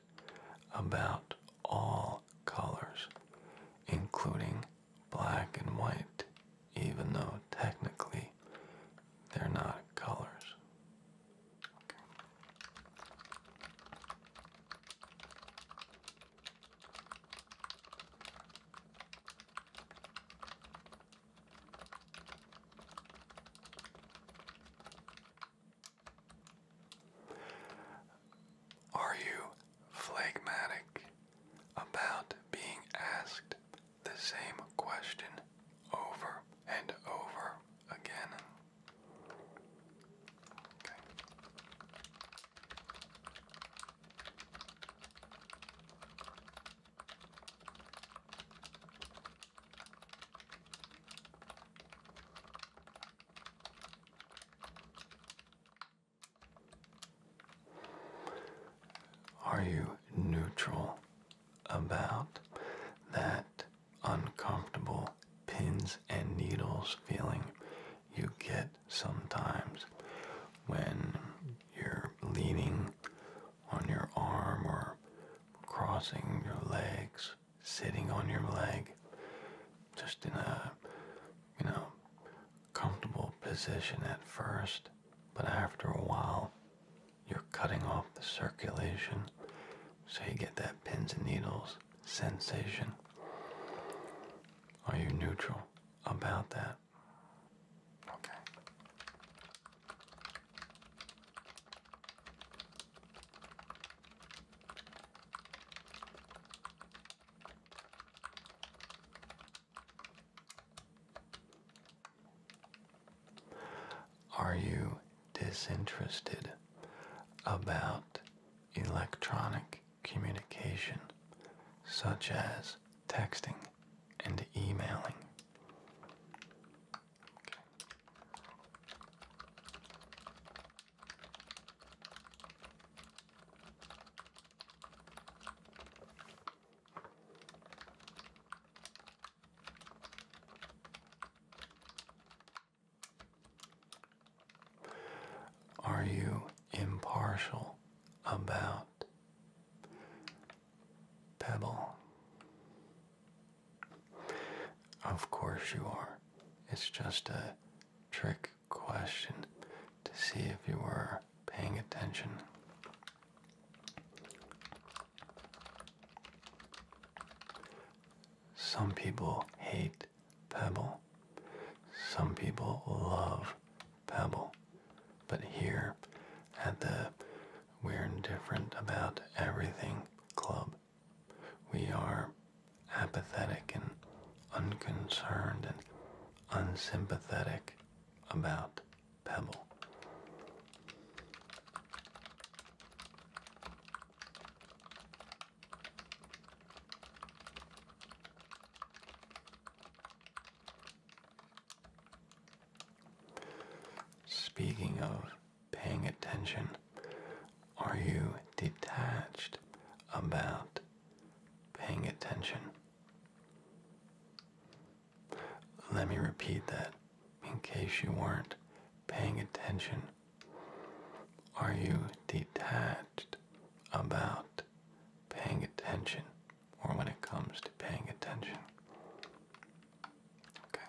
about all colors, including black and white, even though technically they're not colors? Are you phlegmatic about being asked the same question over and over again? Are you neutral about that uncomfortable pins and needles feeling you get sometimes when you're leaning on your arm or crossing your legs, sitting on your leg, just in a, you know, comfortable position at first, but after a while, you're cutting off the circulation, so you get that pins and needles sensation. Are you neutral about that? Okay. Are you disinterested about electronic communication such as texting? and emailing. Are you impartial about Pebble. Of course you are. It's just a trick question to see if you were paying attention. Some people hate Pebble. Some people love Pebble, But here at the We're Indifferent About Everything Club, we are apathetic and unconcerned and unsympathetic about Pebble. Speaking of paying attention, are you detached about paying attention? Let me repeat that in case you weren't paying attention. Are you detached about paying attention? or when it comes to paying attention. Okay.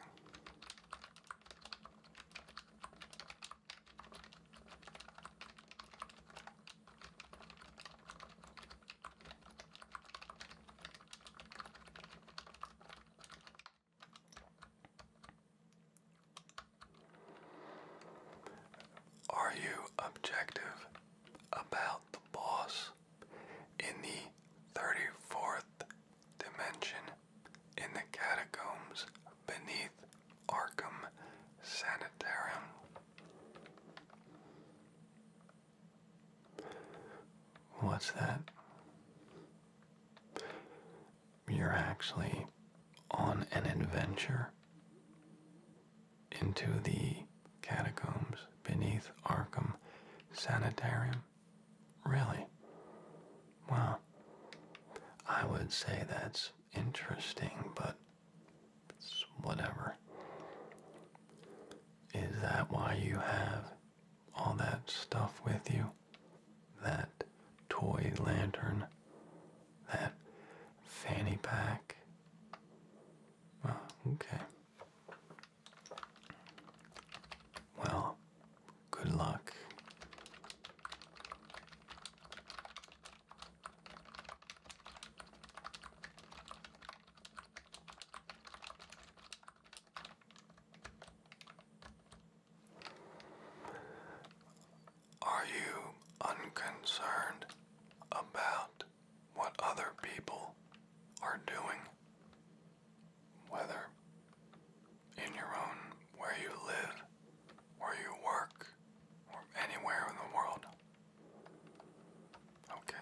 Are you objective about the boss in the 34th dimension in the catacombs beneath Arkham Sanitarium. What's that? You're actually on an adventure into the catacombs beneath Arkham Sanitarium? Really? Well, I would say that's interesting, but it's whatever. Is that why you have all that stuff with you? That toy lantern? That fanny pack? Well, okay. Well, good luck. Are you unconcerned about what other people are doing, whether in your own where you live, where you work, or anywhere in the world. Okay.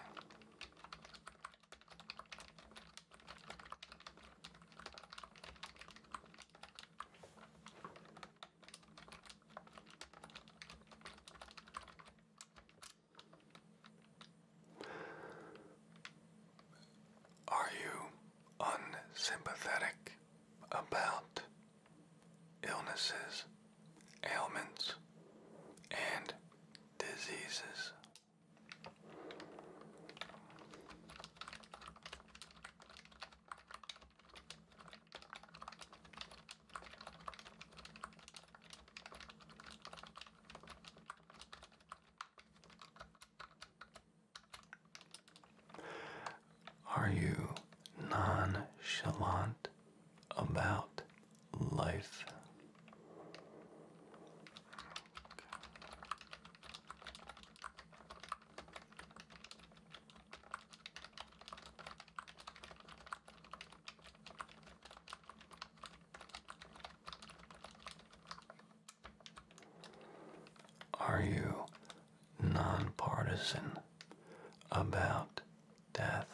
Are you unsympathetic about illnesses, ailments, and diseases? Are you nonchalant about life? Are you nonpartisan about death?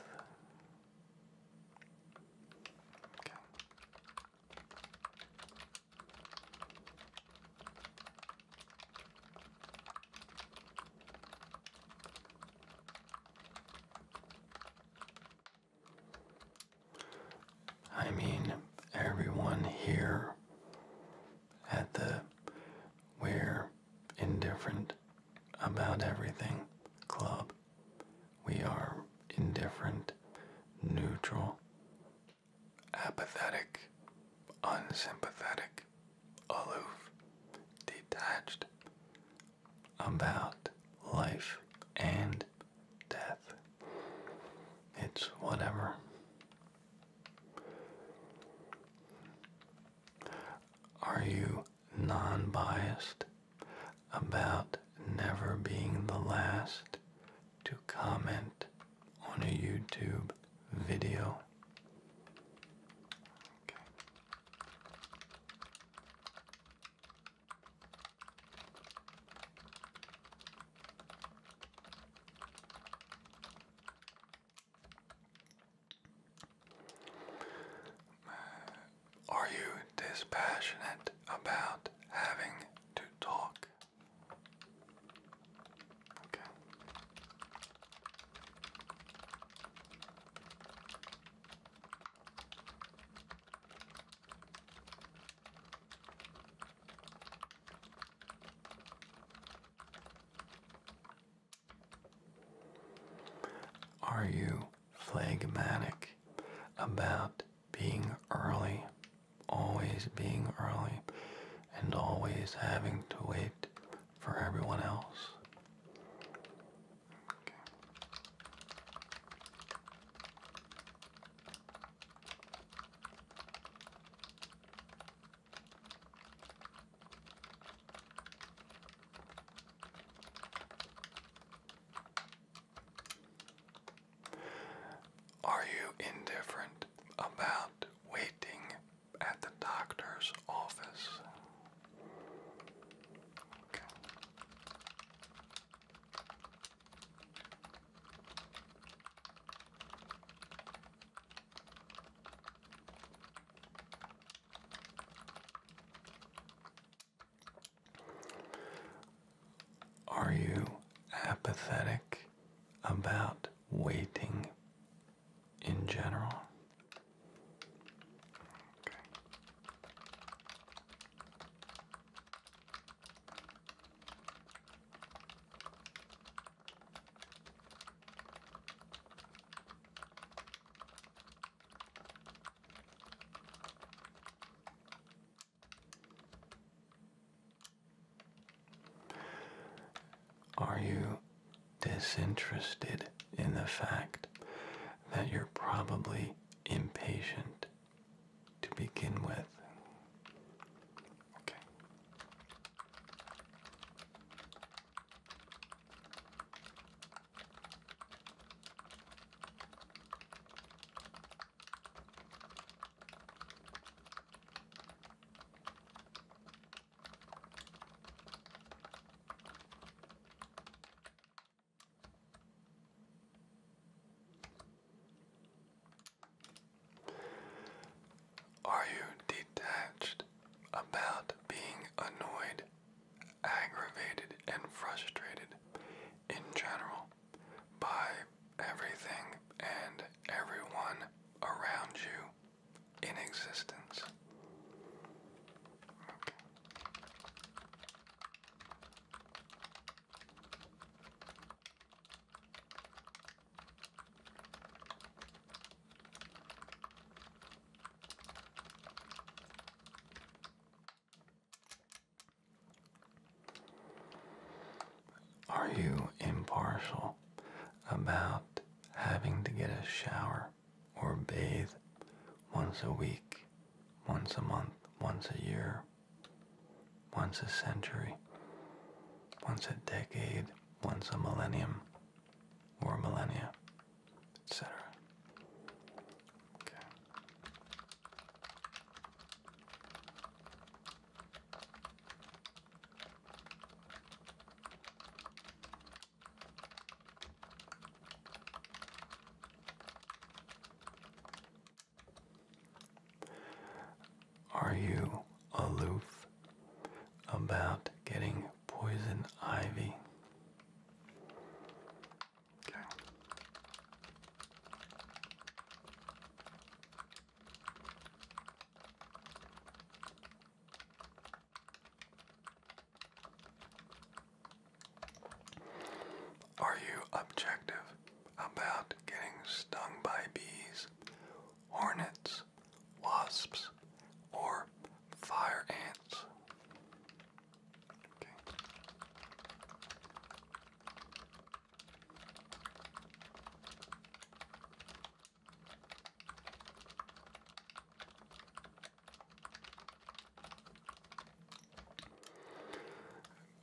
I mean, everyone here at the We're Indifferent About Everything Club, we are indifferent, neutral, apathetic, unsympathetic, aloof, detached, about life and death. It's whatever. Are you non biased about never being the last to comment on a YouTube video? Are you dispassionate about having to talk? Okay. Are you phlegmatic about being early, always being early, and always having to wait for everyone else? Are you indifferent about waiting at the doctor's office? Are you apathetic about waiting in general? Are you disinterested in the fact that you're probably impatient to begin with. Okay. Are you detached about being annoyed, aggravated, and frustrated in general by everything and everyone around you in existence? Are you impartial about having to get a shower or bathe once a week once a month, once a year, once a century, once a decade, once a millennium or millennia, etc. Okay. Are you aloof about getting poison ivy? Are you objective about getting stung by bees, hornets, wasps, or fire ants?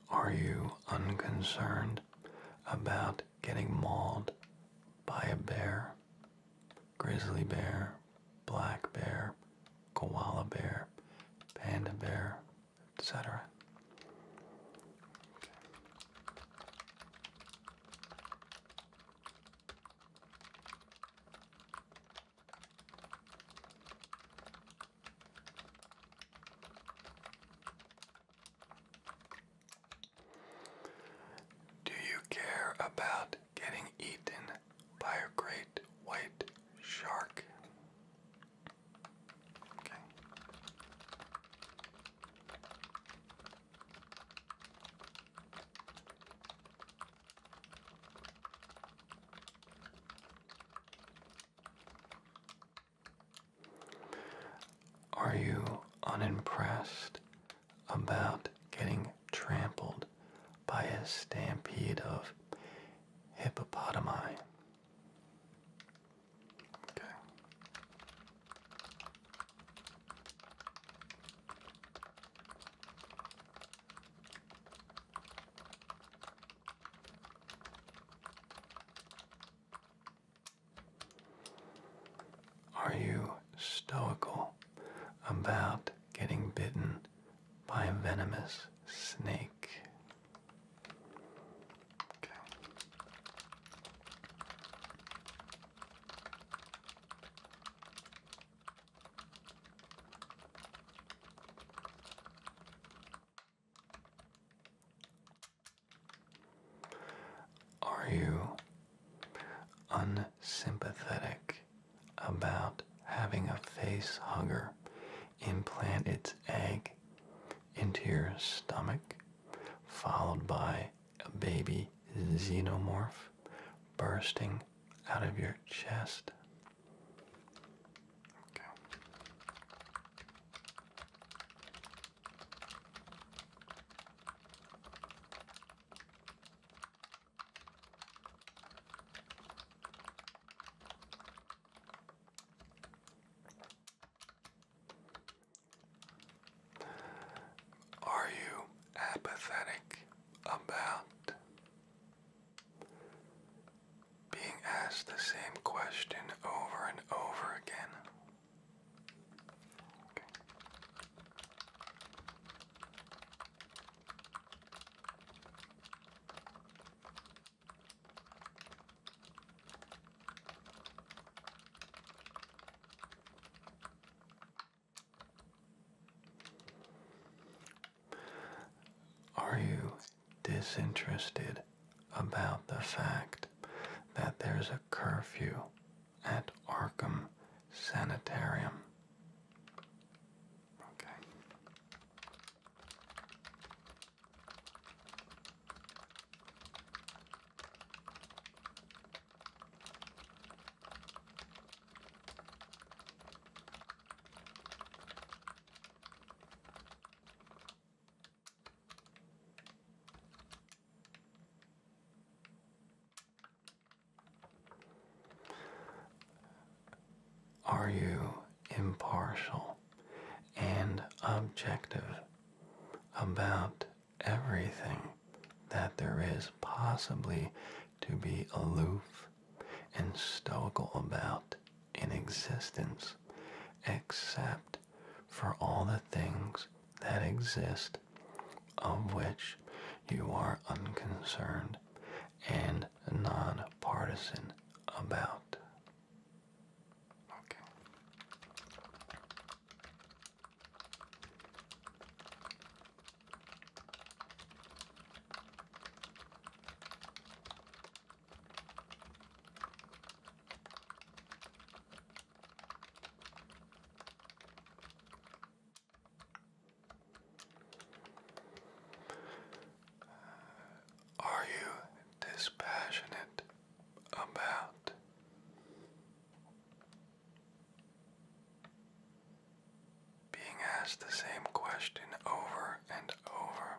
Are you unconcerned about getting mauled by a bear? Grizzly bear, black bear, koala bear, panda bear, etc. Do you care about getting eaten by a great white shark? Are you unimpressed about getting trampled by a stampede of hippopotami? Are you stoical about getting bitten by a venomous snake? Are you unsympathetic about having a face hugger implant its egg into your stomach, followed by a baby xenomorph bursting out of your chest? Okay. Are you apathetic about being asked the same question over and over again. Are you disinterested about the fact that there's a curfew at Arkham Sanitarium? Okay. Are you impartial and objective about everything that there is possibly to be aloof and stoical about in existence, except for all the things that exist of which you are unconcerned and nonpartisan about. Okay. Are you dispassionate about being asked the same question over and over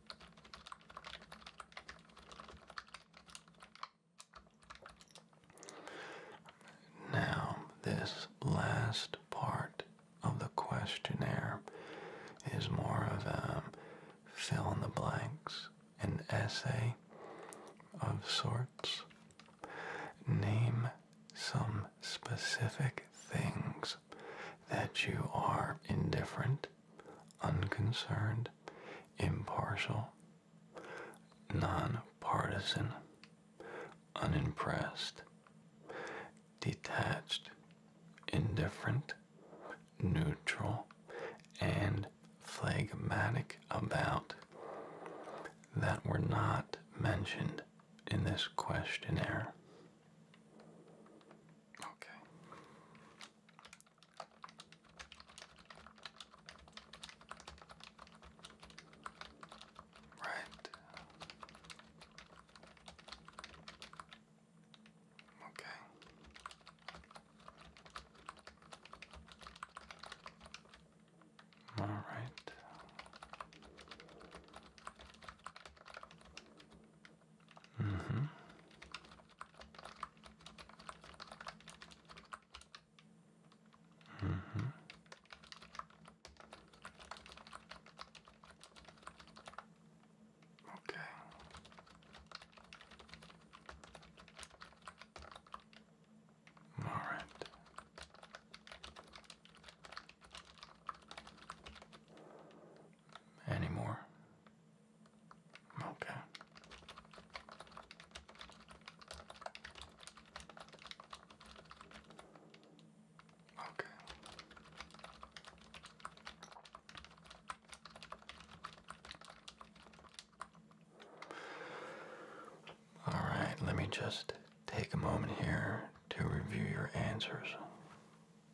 Now, this last part of the questionnaire is more of a fill in the blanks, an essay of sorts. Name some specific things that you are indifferent, unconcerned, impartial, nonpartisan, unimpressed, detached, indifferent, neutral, and phlegmatic about that were not mentioned in this questionnaire. Okay. Right. Okay. All right. Mm -hmm. Mm -hmm. Okay. All right anymore. Okay. Okay. All right, let me just take a moment here to review your answers.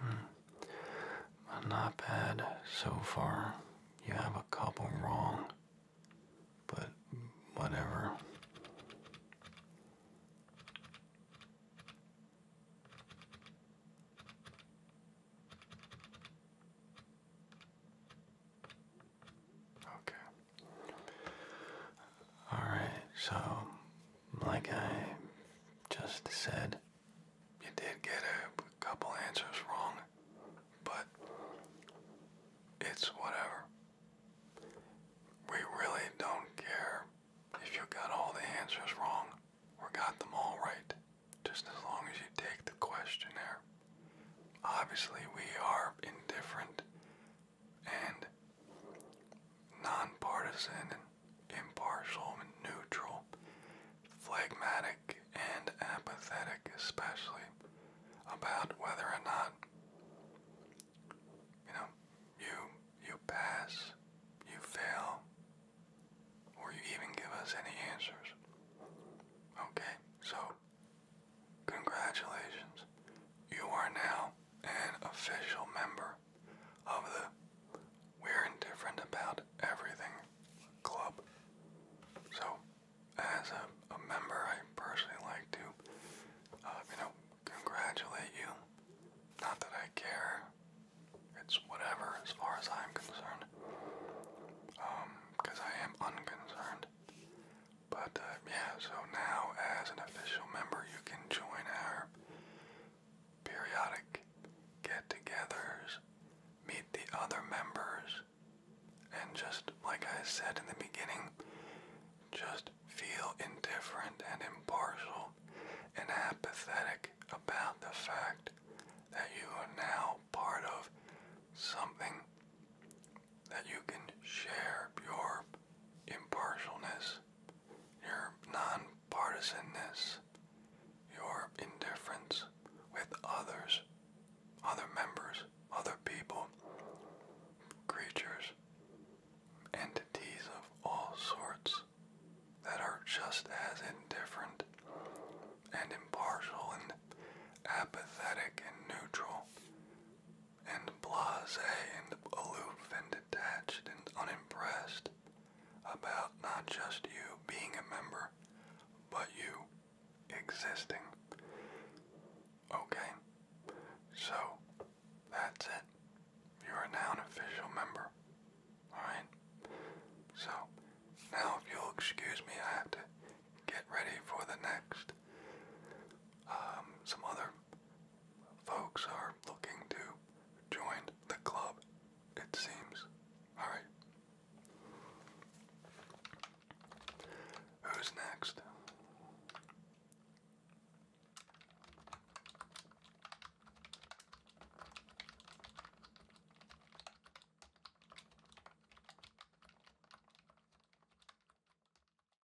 Hmm. not bad so far. You have a couple wrong, but whatever. Okay. Alright, so like I just said, you did get a couple answers wrong, but it's whatever. We really don't care if you got all the answers wrong or got them all right, just as long as you take the questionnaire. Obviously, we are indifferent and nonpartisan and impartial and neutral, phlegmatic and apathetic, especially about whether or not you know you you pass, you fail, or you even give us any answers. Okay, so Congratulations, you are now an official member of the We're Indifferent About Everything Club. So, as a, member, I personally like to, uh, you know, congratulate you. Not that I care, it's whatever as far as I'm concerned. because um, I am unconcerned. But um, yeah, so now as an official member, you can join our periodic get-togethers, meet the other members, and just like I said in the beginning, just feel indifferent and impartial and apathetic about the fact that you are now part of something that you can share your impartialness, your nonpartisanness, your indifference with others, other members, other people, creatures, entities of all sorts that are just as indifferent and impartial and apathetic and neutral and blase and aloof and detached and unimpressed about not just you being a member, but you existing. Okay, so that's it. You are now an official member. Alright? So, now if you'll excuse me, I have to get ready for the next, um, some other folks are looking to join the club, it seems. Alright. Who's next?